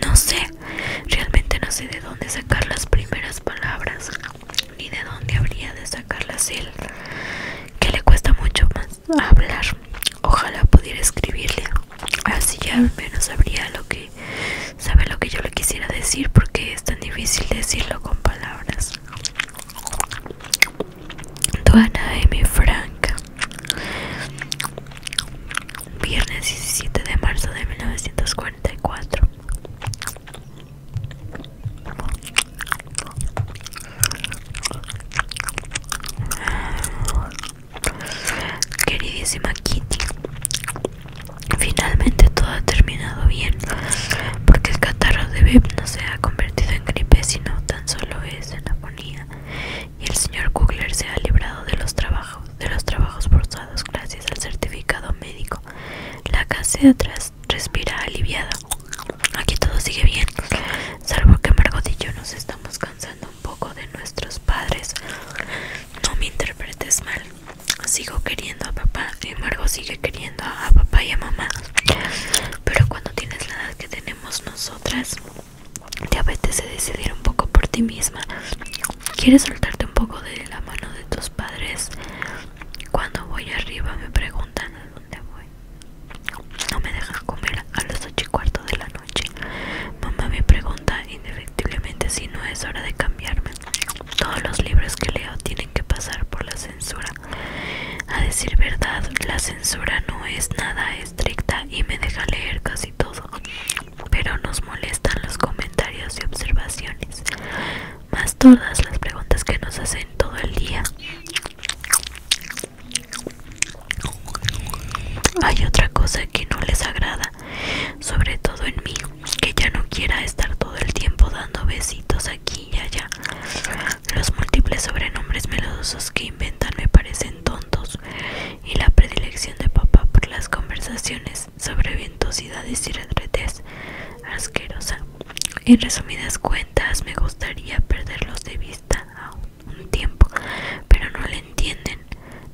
No sé, realmente no sé de dónde sacar las primeras palabras ni de dónde habría de sacarlas él, que le cuesta mucho más hablar. Ojalá pudiera escribirle, así ya al menos sabría lo que sabe lo que yo le quisiera decir, porque es tan difícil decirlo con palabras. Duana M. Franca Viernes 17 de marzo de 1944 Queridísima Kitty, finalmente todo ha terminado bien, porque el catarro de Beb no se ha convertido en gripe, sino tan solo es en aponía y el señor Kugler se ha librado de los trabajos, de los trabajos forzados gracias al certificado médico. La casa de atrás respira aliviada. Aquí todo sigue bien, salvo que Margot y yo nos estamos cansando un poco de nuestros padres. No me interpretes mal. Sigo queriendo a papá y Margot sigue queriendo a papá y a mamá. Pero cuando tienes la edad que tenemos nosotras, te apetece decidir un poco por ti misma. ¿Quieres soltarte un poco de la mano de tus padres? Cuando voy arriba me preguntan, no me dejan comer a las ocho y cuarto de la noche. Mamá me pregunta indefectiblemente si no es hora de cambiarme. Todos los libros que leo tienen que pasar por la censura. A decir verdad, la censura no es nada estricta y me deja leer casi todo. Pero nos molestan los comentarios y observaciones. Más todas las preguntas que nos hacen todo el día. Hay otra cosa que no les agrada, sobre todo en mí, que ya no quiera estar todo el tiempo dando besitos aquí y allá. Los múltiples sobrenombres melodosos que inventan me parecen tontos y la predilección de papá por las conversaciones sobre ventosidades y retretes asquerosa. En resumidas cuentas, me gustaría perderlos de vista a un tiempo, pero no lo entienden.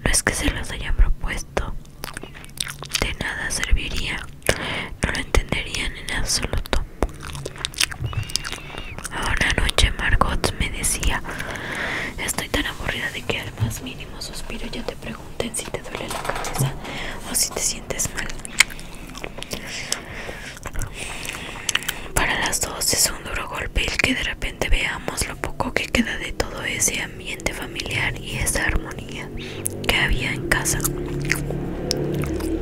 No es que se los hayan propuesto, de nada serviría, no lo entenderían en absoluto. Ahora noche Margot me decía, estoy tan aburrida de que al más mínimo suspiro ya te pregunten si te duele la cabeza o si te sientes mal. Para las dos es un duro golpe el que de repente veamos lo poco que queda de todo ese ambiente familiar y esa armonía que había en casa.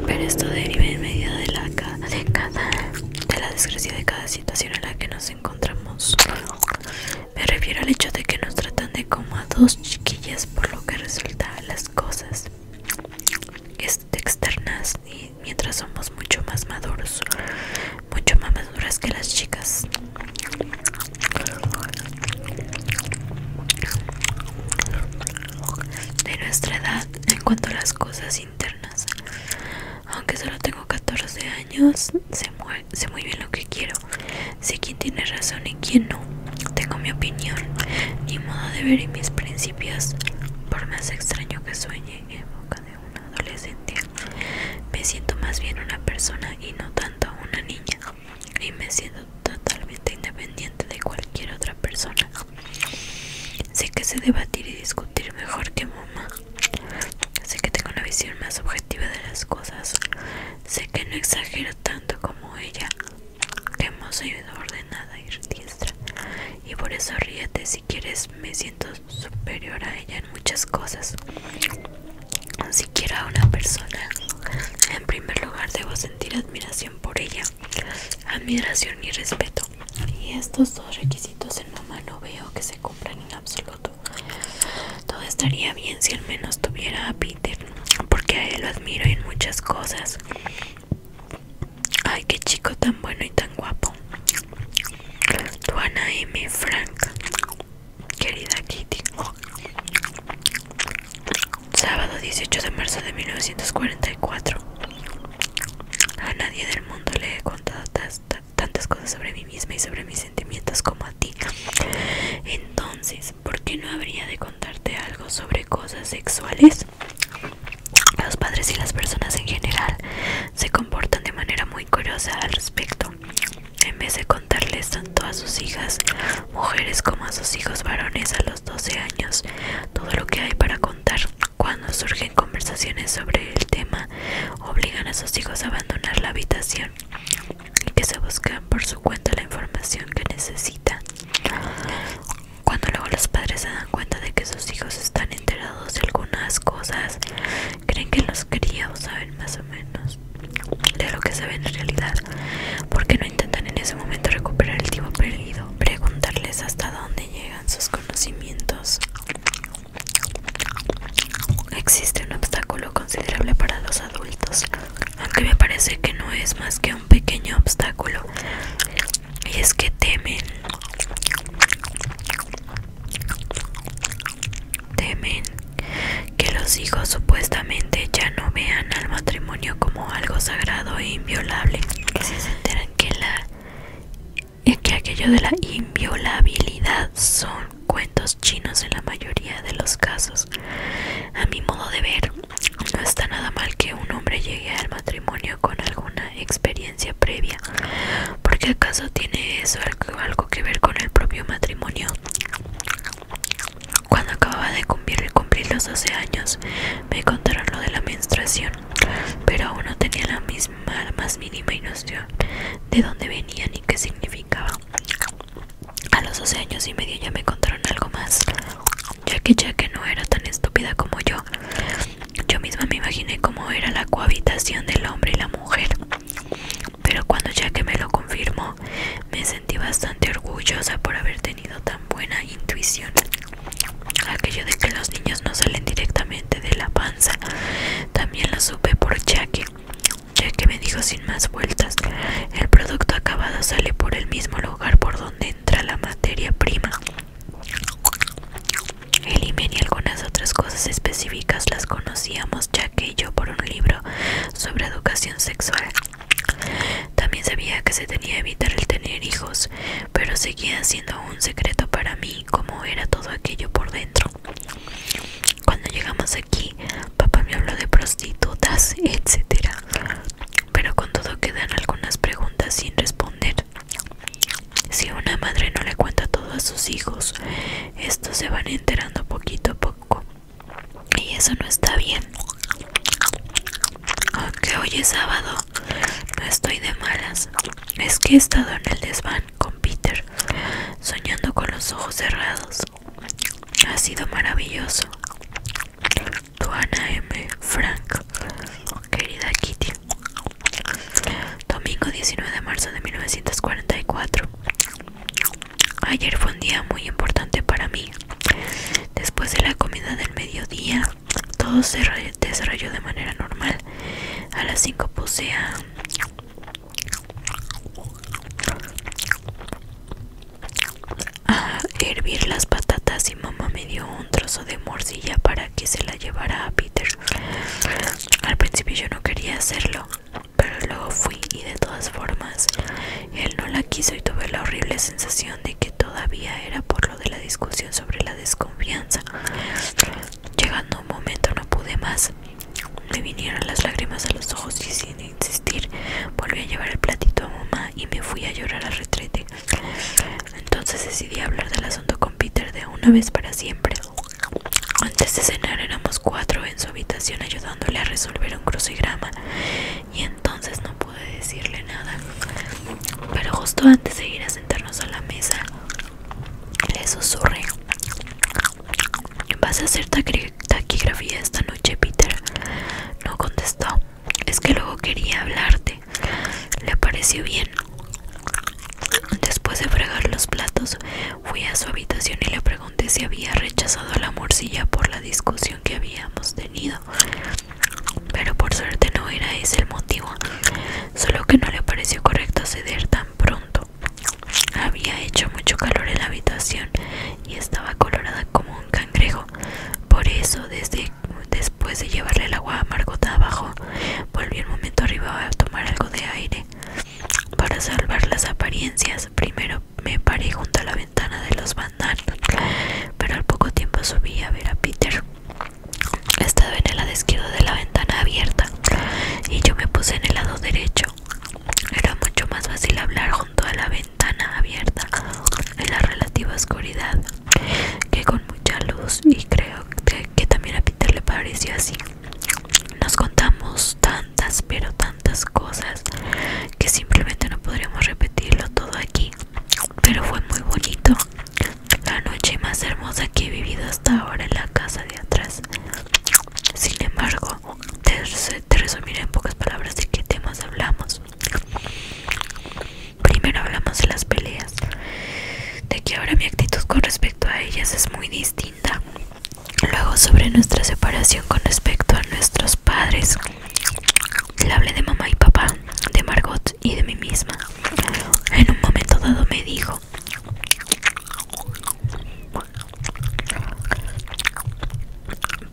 Pero esto deriva en medio de la cada de la desgracia de cada situación en la que nos encontramos. Me refiero al hecho de que nos tratan de como a dos chiquillas por lo que resulta las cosas externas y mientras somos mucho más maduros mucho más maduras que las chicas de nuestra edad en cuanto a las cosas internas aunque solo tengo 14 años sé muy, bien lo que quiero sé quién tiene razón y quién no tengo mi opinión mi modo de ver y mis principios por más extraño que sueñe en boca de una adolescente, me siento más bien una persona y no tanto una niña. Y me siento totalmente independiente de cualquier otra persona. Sé que sé debatir y discutir mejor que mamá. Sé que tengo una visión más objetiva de las cosas. Sé que no exagero tanto como ella que más y ordenada y registra Y por eso ríete si quieres, me siento superior a ella en muchas cosas. Siquiera a una persona. En primer lugar, debo sentir admiración por ella, admiración y respeto. Y estos dos requisitos en mamá no veo que se cumplan en absoluto. Todo estaría bien si al menos tuviera a Peter, porque a él lo admiro en muchas cosas. Ay, qué chico tan bueno y tan guapo. Tuana M. Frank, querida Kitty. Sábado 18 de marzo de 1944. A nadie del mundo le he contado tantas cosas sobre mí misma y sobre mis sentimientos como a ti. Entonces, ¿por qué no habría de contarte algo sobre cosas sexuales? Los padres y las personas en general se comportan de manera muy curiosa al respecto. En vez de contarles tanto a sus hijas mujeres como a sus hijos varones a los 12 años todo lo que hay para contar, cuando surgen conversaciones sobre el tema, obligan a sus hijos a abandonar la habitación y que se busquen por su cuenta la información que necesitan. Cuando luego los padres se dan cuenta de que sus hijos están enterados de algunas cosas, creen que los críos saben más o menos de lo que saben en realidad, porque no intentan en ese momento recuperar el tiempo perdido, preguntarles hasta dónde llegan sus conocimientos. Existe un obstáculo considerable para los adultos, aunque me parece que no es más que un pequeño obstáculo y es que temen. Temen que los hijos supuestamente ya no vean al matrimonio como algo sagrado e inviolable. Que se enteran que la que aquello de la inviolabilidad son cuentos chinos en la mayoría de los casos. A mi modo de ver, no está nada mal que un hombre llegue al matrimonio con alguna experiencia previa. Porque acaso tiene eso algo, que ver con el propio matrimonio. Cuando acababa de cumplir, los 12 años, me contaron lo de la menstruación, pero aún no tenía la misma, la más mínima noción de dónde venían y qué significaba. A los 12 años y medio ya me contaron algo más ya que no era tan estúpida como yo. Yo misma me imaginé cómo era la cohabitación del hombre y la mujer. Pero cuando que me lo confirmó, me sentí bastante orgullosa por haber tenido tan buena intuición. Aquello de que los niños no salen directamente de la panza, también lo supe por ya que me dijo sin más vueltas, el producto acabado sale por el mismo lugar por donde entra la materia prima. El Imen y algunas otras cosas específicas las conocíamos ya que yo por un libro sobre educación sexual. También sabía que se tenía que evitar el tener hijos, pero seguía siendo un secreto para mí como era todo aquello por dentro. Cuando llegamos aquí, papá me habló de prostitutas, etc. Pero con todo quedan algunas preguntas sin responder. Si una madre no le cuenta todo a sus hijos, estos se van enterando poquito a poco. Y eso no está bien. Aunque hoy es sábado, no estoy de malas. Es que he estado en el desván con Peter, soñando con los ojos cerrados. Ha sido maravilloso. Tu Ana M. Frank querida Kitty. Domingo 19 de marzo de 1944. Ayer fue un día muy importante para mí. Después de la comida del mediodía, todo se desarrolló de manera normal. A las 5 puse a... hervir las patatas y mamá me dio trozo de morcilla para que se la llevara a Peter. Al principio yo no quería hacerlo, pero luego fui y de todas formas él no la quiso y tuve la horrible sensación de que todavía era por lo de la discusión sobre la desconfianza. Llegando un momento no pude más. Me vinieron las lágrimas a los ojos y sin insistir volví a llevar el platito a mamá y me fui a llorar al retrete. Entonces decidí hablar del asunto con Peter de una vez para siempre. Antes de cenar éramos cuatro en su habitación ayudándole a resolver un crucigrama y entonces no pude decirle nada. Pero justo antes de ir a sentarnos a la mesa, le susurré. ¿Vas a hacer taquigrafía esta noche, Peter? No contestó. Es que luego quería hablarte. Le pareció bien. Después de fregar los platos, fui a su habitación y le pregunté si había rechazado la morcilla por la discusión que habíamos tenido. Pero por suerte no era ese el motivo, solo que no le pareció correcto ceder tan pronto. Había hecho mucho calor en la habitación y estaba colorada como un cangrejo. Por eso, desde después de llevarle el agua a Margot abajo, Volví al momento arriba a tomar algo de aire. Para salvar las apariencias, primero me paré junto a la ventana de los bandanos pero al poco tiempo subí a ver a Peter. Estaba en el lado izquierdo de la ventana abierta y yo me puse en el lado derecho. Era mucho más fácil hablar junto a la ventana abierta en la relativa oscuridad que con mucha luz y creo que también a Peter le pareció así. Nos contamos tantas, pero tantas cosas que simplemente no podríamos repetirlo todo aquí. Pero fue muy bonito. La noche más hermosa que he vivido hasta ahora en la casa de atrás. Sin embargo, te, resumiré en pocas palabras de qué temas hablamos. Primero hablamos de las peleas, de que ahora mi actitud con respecto a ellas es muy distinta. Luego sobre nuestra separación con respecto a nuestros padres. Le hablé de mamá y papá, de Margot y de mí misma. En un momento dado me dijo,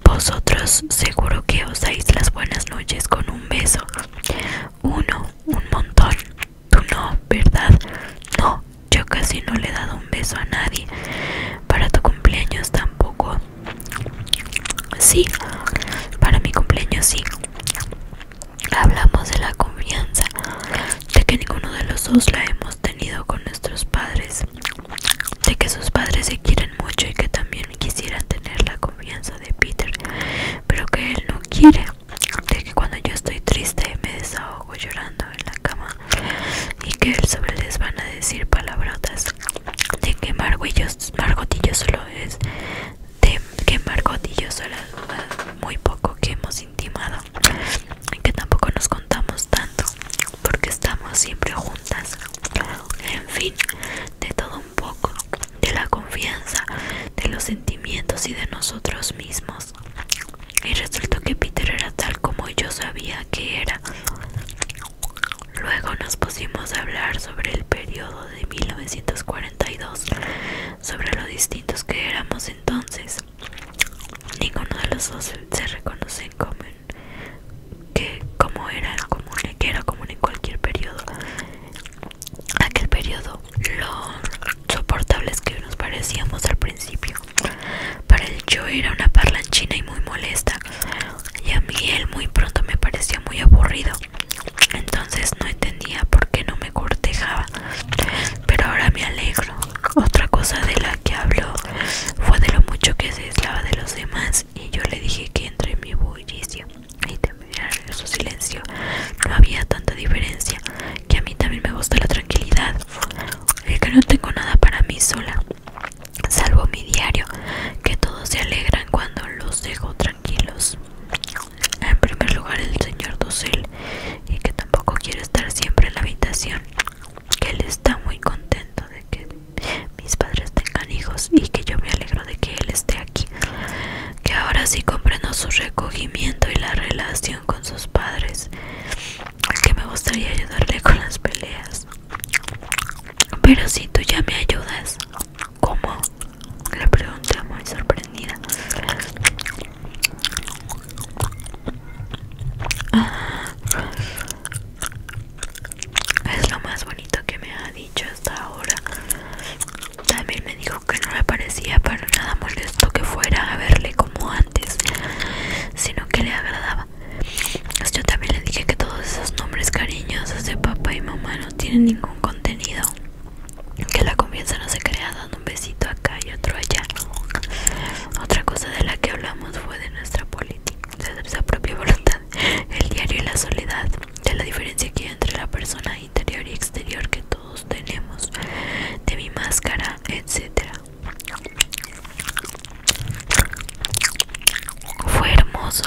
vosotros seguro que os dais las buenas noches con un beso. Uno, un montón. Tú no, ¿verdad? No, yo casi no le he dado un beso a nadie. Para tu cumpleaños tampoco. Sí, para mi cumpleaños sí. Hablamos de la confianza, de que ninguno de los dos la hemos tenido con nuestros padres, de que sus padres se quieren mucho y que también quisieran tener la confianza de Peter, pero que él no quiere de que cuando yo estoy triste me desahogo llorando en la cama y que sobre les van a decir palabrotas de que margotillo solo es de que Margotillo solo es muy poco que hemos intimado y que tampoco nos contamos tanto porque estamos siempre juntas en fin de todo un poco de la confianza, de los sentimientos y de nosotros mismos. Y resultó que Peter era tal como yo sabía que era. Luego nos pusimos a hablar sobre el periodo de 1942, sobre lo distintos que éramos entonces. Ninguno de los dos se reconoce en común que como era común, que era común en cualquier periodo. Aquel periodo lo soportables que nos parecíamos al principio. Para él yo era una parlanchina y muy molesta, y a mí él muy pronto me parecía muy aburrido. Entonces no entendía por qué no me cortejaba, pero ahora me alegro. Otra cosa de la que habló fue de lo mucho que se aislaba de los demás y yo le dije que entre en mi bullicio y terminar en su silencio. No había tanta diferencia, que a mí también me gusta la tranquilidad. El que no tengo nada para mí sola, salvo mi diario, que todos se alegran cuando los dejo tranquilos. En primer lugar, el señor Dussel, y que tampoco quiere estar siempre en la habitación, que él está muy contento de que mis padres tengan hijos y que yo me alegro de que él esté aquí que ahora sí comprendo su recogimiento y la relación con sus padres, que me gustaría ayudarle con las peleas. Pero si tú ya me ayudas, ¿cómo? Le pregunta muy sorprendida. Ah, es lo más bonito que me ha dicho hasta ahora. También me dijo que no le parecía para nada molesto que fuera a verle como antes, sino que le agradaba. Pues yo también le dije que todos esos nombres cariñosos de papá y mamá no tienen ningún contenido, que la comienza no se crea dando un besito acá y otro allá. Otra cosa de la que hablamos fue de nuestra política, de nuestra propia voluntad, el diario y la soledad, de la diferencia que hay entre la persona interior y exterior que tú todos tenemos de mi máscara etcétera fue hermoso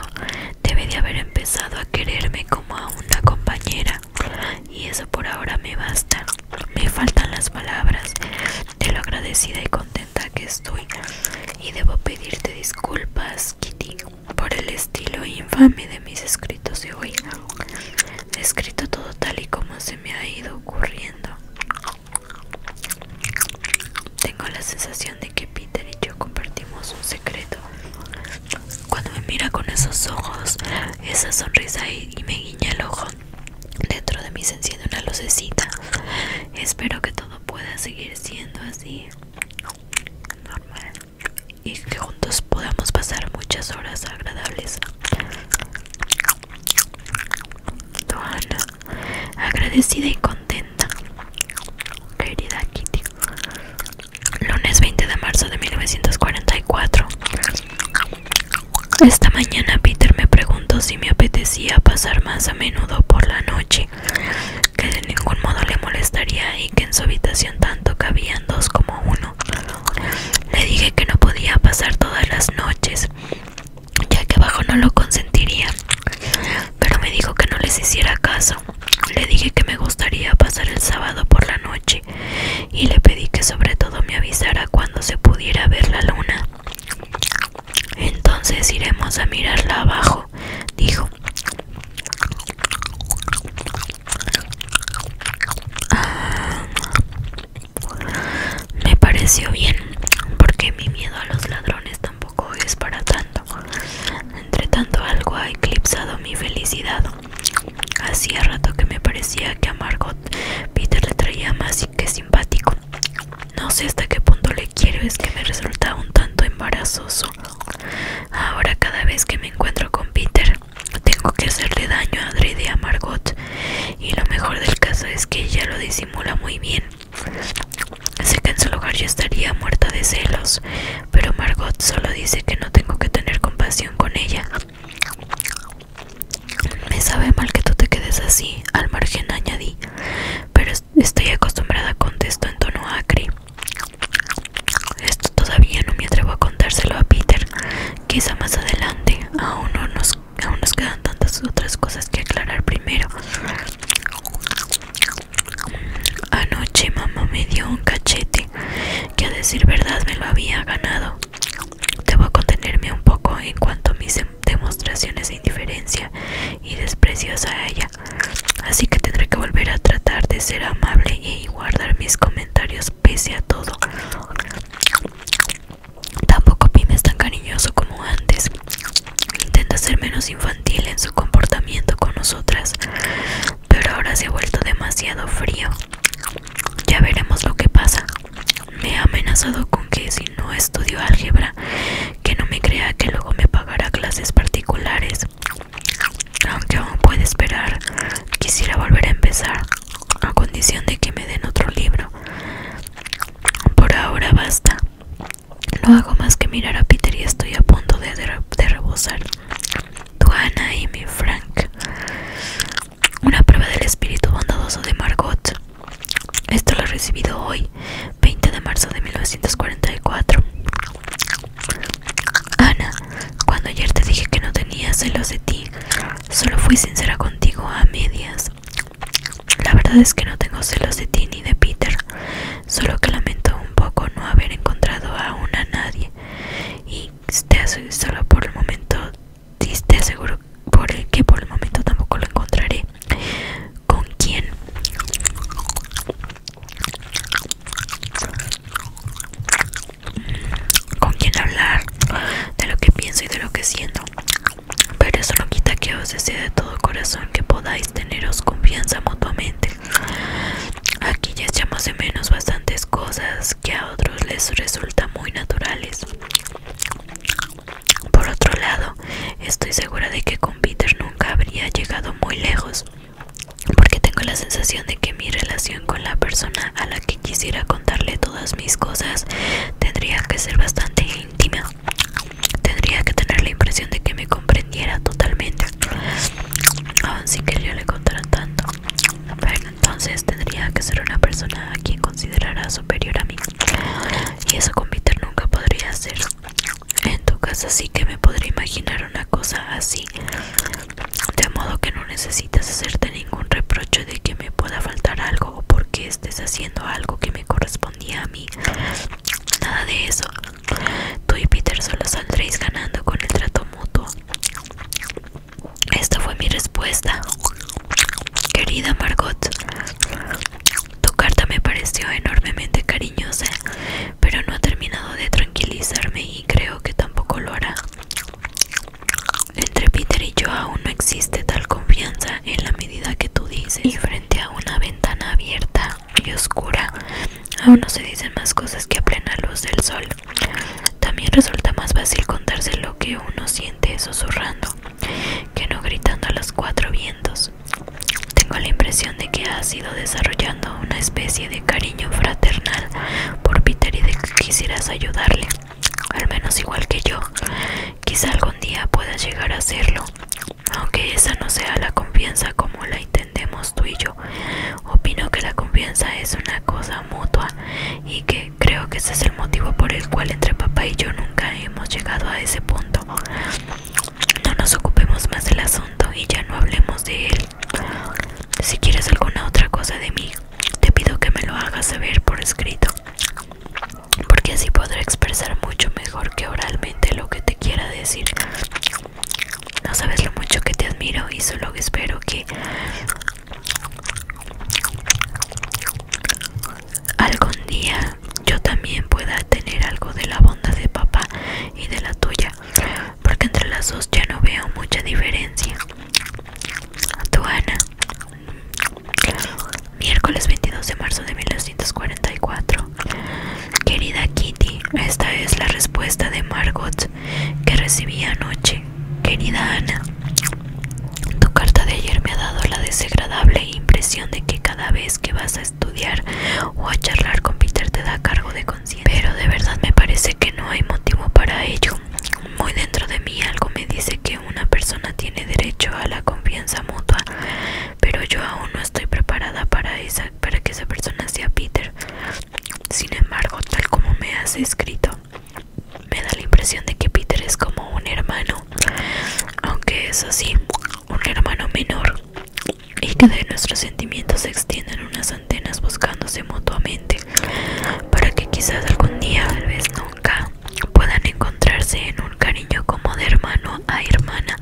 debe de haber empezado a quererme como a una compañera y eso por ahora me basta me faltan las palabras de lo agradecida y contenta que estoy y debo pedirte disculpas Kitty por el estilo infame de mis escritores se Escrito todo tal y como se me ha ido ocurriendo. Tengo la sensación de que Peter y yo compartimos un secreto. Cuando me mira con esos ojos, esa sonrisa y, me guiña el ojo, dentro de mí se enciende una lucecita. Espero que todo pueda seguir siendo así normal y que juntos podamos pasar muchas horas agradables. agradecida y contenta, querida Kitty. Lunes 20 de marzo de 1944. Esta mañana Peter me preguntó si me apetecía pasar más a menudo por la noche, que de ningún modo le molestaría y que en su habitación tanto cabían dos como uno. Le dije que no podía pasar todas las noches, ya que abajo no lo consentiría, pero me dijo que no les hiciera caso. Le dije que me gustaría pasar el sábado por la noche y le pedí que sobre todo me avisara cuando se pudiera ver la luna. Entonces iremos a mirarla abajo, dijo. Ah, me pareció bien, porque mi miedo a los ladrones tampoco es para tanto. Entre tanto, algo ha eclipsado mi felicidad. Hacía rato que me parecía que a Margot Peter le traía más que simpático. No sé hasta qué punto le quiero, es que me resulta un tanto embarazoso. Ahora cada vez que me encuentro con Peter, tengo que hacerle daño a y a Margot y lo mejor del caso es que ella lo disimula muy bien. Sé que en su lugar yo estaría muerta de celos, pero Margot solo dice que no tengo que tener compasión con ella. Me sabe mal que tú te quedes así, al margen añadí, pero estoy acostumbrada, a contesto en tono acre. Esto todavía no me atrevo a contárselo a Peter, Quizá más adelante, aún, no nos, aún nos quedan tantas otras cosas que aclarar primero. Anoche mamá me dio un cachete que a decir verdad me lo había ganado. Debo contenerme un poco en cuanto a mis demostraciones de indiferencia y desprecio a ella. Así que tendré que volver a tratar de ser amable y guardar mis comentarios pese a todo. Tampoco Pim es tan cariñoso como antes. Intenta ser menos infantil en su comportamiento con nosotras, pero ahora se ha vuelto demasiado frío. Ya veremos lo que pasa. Me ha amenazado con que si no estudio álgebra, que no me crea que luego me pagará clases particulares. Aunque aún puede esperar, quisiera volver a empezar a condición de que me den otro libro. Por ahora basta. No hago más que mirar a Peter y estoy a punto de, rebosar Tu rebosar. y mi Frank. Una prueba del espíritu bondadoso de Margot. Esto lo he recibido hoy, 20 de marzo de 1944. Ana, cuando ayer te dije que no tenía celos de ti, Solo fui sincera contigo a medias. La verdad es que no tengo celos de ti ni de Peter, solo que lamento un poco no haber encontrado aún a nadie. Y te solo por el momento, te aseguro por el que por el momento tampoco lo encontraré. ¿Con quién? con quien hablar de lo que pienso y de lo que siento. Pero eso no quita que os desee de todo corazón que podáis teneros confianza mutuamente. Aquí ya echamos de menos bastantes cosas que a otros les resultan muy naturales. Por otro lado, estoy segura de que con Peter nunca habría llegado muy lejos, porque tengo la sensación de que mi relación con la persona a la que quisiera contarle todas mis cosas tendría que ser bastante íntima. Tendría que tener la impresión de que me comprendiera totalmente, Aún si que yo le contara tanto. Pero entonces tendría que ser una persona a quien considerara superior a mí. Y eso con Peter nunca podría ser. En tu casa sí que me podría imaginar una cosa así de modo que no necesitas hacerte ningún reproche de que me pueda faltar algo o porque estés haciendo algo que me correspondía a mí. Nada de eso. Tú y Peter solo saldréis ganando con el trato mutuo. Esta fue mi respuesta. Querida Margot, tu carta me pareció enormemente cariñosa, pero no ha terminado de tranquilizarme y creo que tampoco lo hará. Entre Peter y yo aún no existe tal confianza en la medida que tú dices. Y frente a una ventana abierta y oscura, aún no se dicen más cosas que a plena luz del sol. También resulta más fácil contarse lo que uno siente susurrando que no gritando a los cuatro vientos. Tengo la impresión de que has ido desarrollando una especie de cariño fraternal por Peter y de que quisieras ayudarle al menos igual que yo. Quizá algún día pueda llegar a hacerlo, aunque esa no sea la confianza como la entendemos tú y yo. Opino que la confianza es una cosa mutua y que creo que ese es el motivo por el cual entre papá y yo nunca hemos llegado a ese punto. No nos ocupemos más del asunto y ya no hablemos de él. Si quieres alguna otra cosa de mí, te pido que me lo hagas saber por escrito, porque así podré expresar mucho mejor que oralmente lo que te quiera decir. No sabes lo mucho que te admiro y solo espero que algún día yo también pueda tener algo de la bondad de papá y de la tuya, porque entre las dos ya no veo mucha diferencia. Tu Ana. Miércoles 22 de marzo de 1944. Querida Kitty, esta es la respuesta de Margot que recibí anoche. Querida Ana, tu carta de ayer me ha dado la desagradable impresión de que cada vez que vas a estudiar o a charlar con Peter te da cargo de conciencia. Pero de verdad me parece que no hay motivo para ello. Muy dentro de mí algo me dice que una persona tiene derecho a la confianza mutua, pero yo aún no estoy preparada para, esa, para que esa persona sea Peter. Sin embargo, tal como me has escrito, me da la impresión de que Peter es como un hermano, aunque es así, un hermano menor, y que de nuestros sentimientos se extienden unas antenas buscándose mutuamente para que quizás algún día, tal vez nunca, puedan encontrarse en un cariño como de hermano a hermana,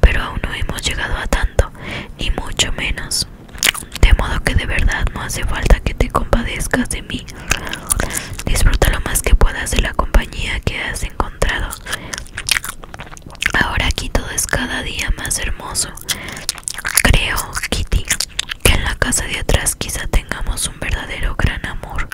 pero aún no hemos llegado a tanto, Y mucho menos. De modo que de verdad no hace falta que te compadezcas de mí. Disfruta lo más que puedas de la compañía que has encontrado. Ahora aquí todo es cada día más hermoso. Creo, Kitty, que en la casa de atrás quizá tengamos un verdadero gran amor.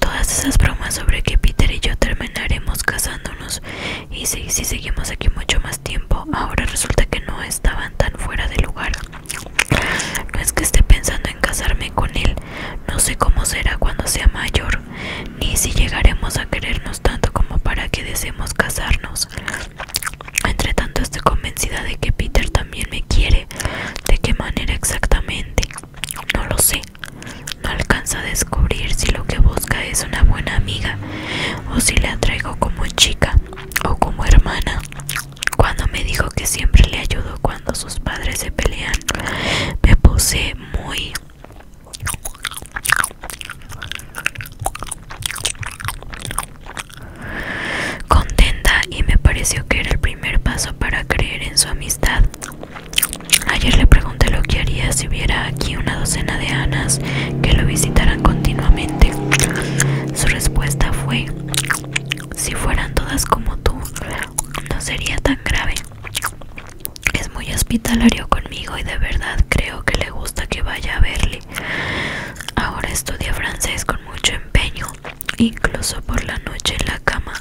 Todas esas bromas sobre que Peter y yo terminaremos casándonos y si, seguimos aquí mucho más tiempo, ahora resulta que no estaban tan fuera de lugar. No es que esté pensando en casarme con él, no sé cómo será cuando sea mayor, ni si llegaremos a querernos tanto como para que deseemos casarnos. Entre tanto estoy convencida de que Peter también me quiere. ¿De qué manera exactamente? No lo sé. No alcanza a descubrir si lo que busca es una buena amiga o si la traigo como chica o como hermana. Cuando me dijo que siempre le ayudo cuando sus padres se pelean, me puse muy contenta y me pareció que era el primer paso para creer en su amistad. Ayer le pregunté lo que haría si hubiera aquí una docena de Anas que lo visitaran continuamente. Su respuesta fue, si fueran todas como tú, no sería tan grave. Es muy hospitalario conmigo y de verdad creo que le gusta que vaya a verle. Ahora estudia francés con mucho empeño incluso por la noche en la cama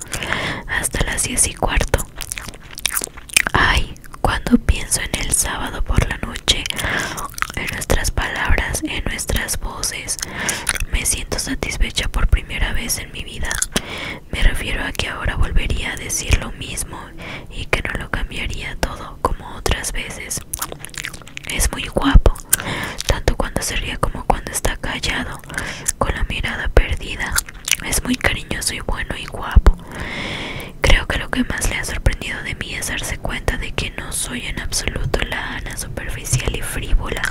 hasta las diez y cuarto. Ay, cuando pienso en el sábado por la noche, en nuestras palabras, en nuestras voces, me siento satisfecha por primera vez en mi vida. Me refiero a que ahora volvería a decir lo mismo y que no lo cambiaría todo como otras veces. Es muy guapo, tanto cuando se ríe como cuando está callado, con la mirada perdida. Es muy cariñoso y bueno y guapo. Creo que lo que más le ha sorprendido de mí es darse cuenta de que no soy en absoluto la Ana superficial y frívola,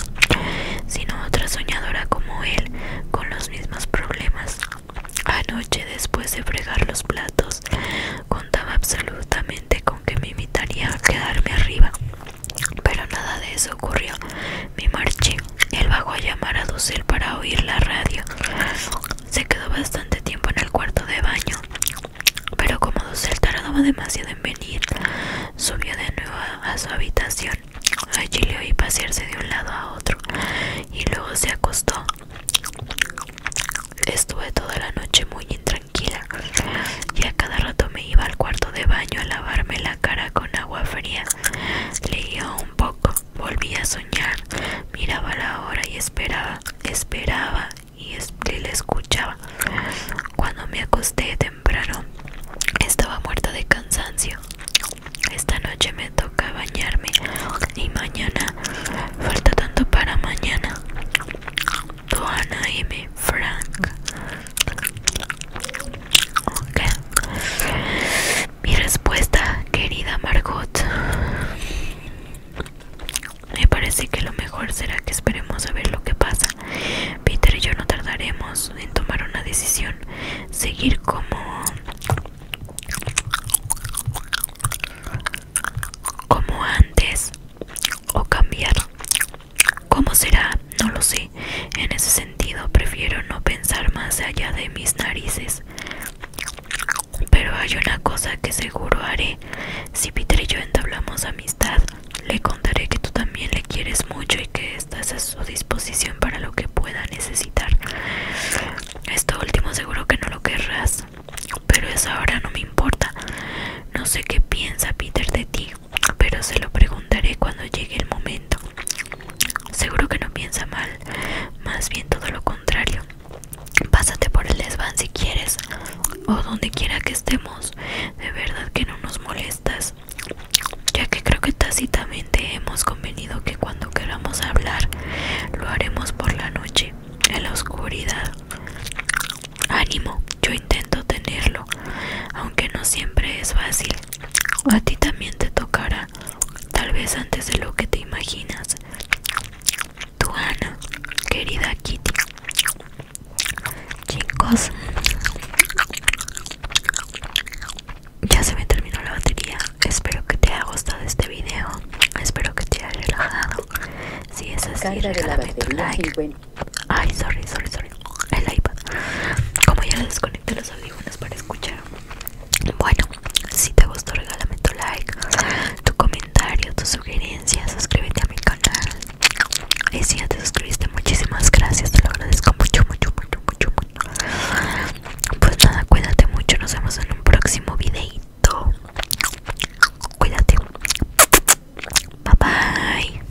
sino otra soñadora como él, con los mismos problemas. Anoche, después de fregar los platos, contaba absolutamente con que me invitaría a quedarme arriba. Pero nada de eso ocurrió. mi marché. Él bajó a llamar a Dussel para oír la radio. Se quedó bastante tiempo en el cuarto de baño. Pero como Dussel tardaba demasiado en venir, subió de nuevo a su habitación. Allí le oí pasearse de un lado a otro y luego se acostó. Estuve toda la noche muy intranquila y a cada rato me iba al cuarto de baño a lavarme la cara con agua fría. Leía un poco, volvía a soñar, miraba la hora y esperaba, esperaba y le escuchaba. Cuando me acosté temprano, estaba muerta de cansancio. Esta noche me toca bañarme y mañana falta tanto para mañana. Doana M. Frank mi respuesta, querida Margot. Me parece que lo mejor será que esperemos a ver lo que pasa. Peter y yo no tardaremos en tomar una decisión. Seguir como... Como antes. O cambiar. ¿Cómo será? No lo sé. En ese sentido, prefiero no pensar más allá de mis narices. Pero hay una cosa que seguro haré. Si Peter y yo entablamos amistad, le contaré que tú también le quieres mucho y que estás a su disposición para lo que pueda necesitar. Esto último seguro que no lo querrás, pero eso ahora no me importa. No sé qué piensa Peter de ti, pero se lo preguntaré cuando llegue el momento. Seguro que no piensa mal, más bien todo lo contrario. Pásate por el desván si quieres, o donde quiera que estemos. De verdad que no nos molestas, ya que creo que tácitamente hemos convenido que cuando queramos hablar lo haremos por la noche, en la oscuridad. Ánimo, yo intento tenerlo, aunque no siempre es fácil. A ti también te tocará, tal vez antes de lo que te imaginas. Tu Ana, querida Kitty. Chicos, ya se me terminó la batería. Espero que te haya gustado este video. Espero que te haya relajado. Si es así, regálame tu like. Ay, sorry, sorry, sorry. El iPad. Como ya le desconecté los audífonos para escuchar. Bueno, si te gustó, regálame tu like, tu comentario, tu sugerencia Suscríbete a mi canal. Y si ya te suscribiste, muchísimas gracias. Te lo agradezco mucho, mucho, mucho, mucho, mucho. Pues nada, cuídate mucho. Nos vemos en un próximo videito. Cuídate. Bye bye.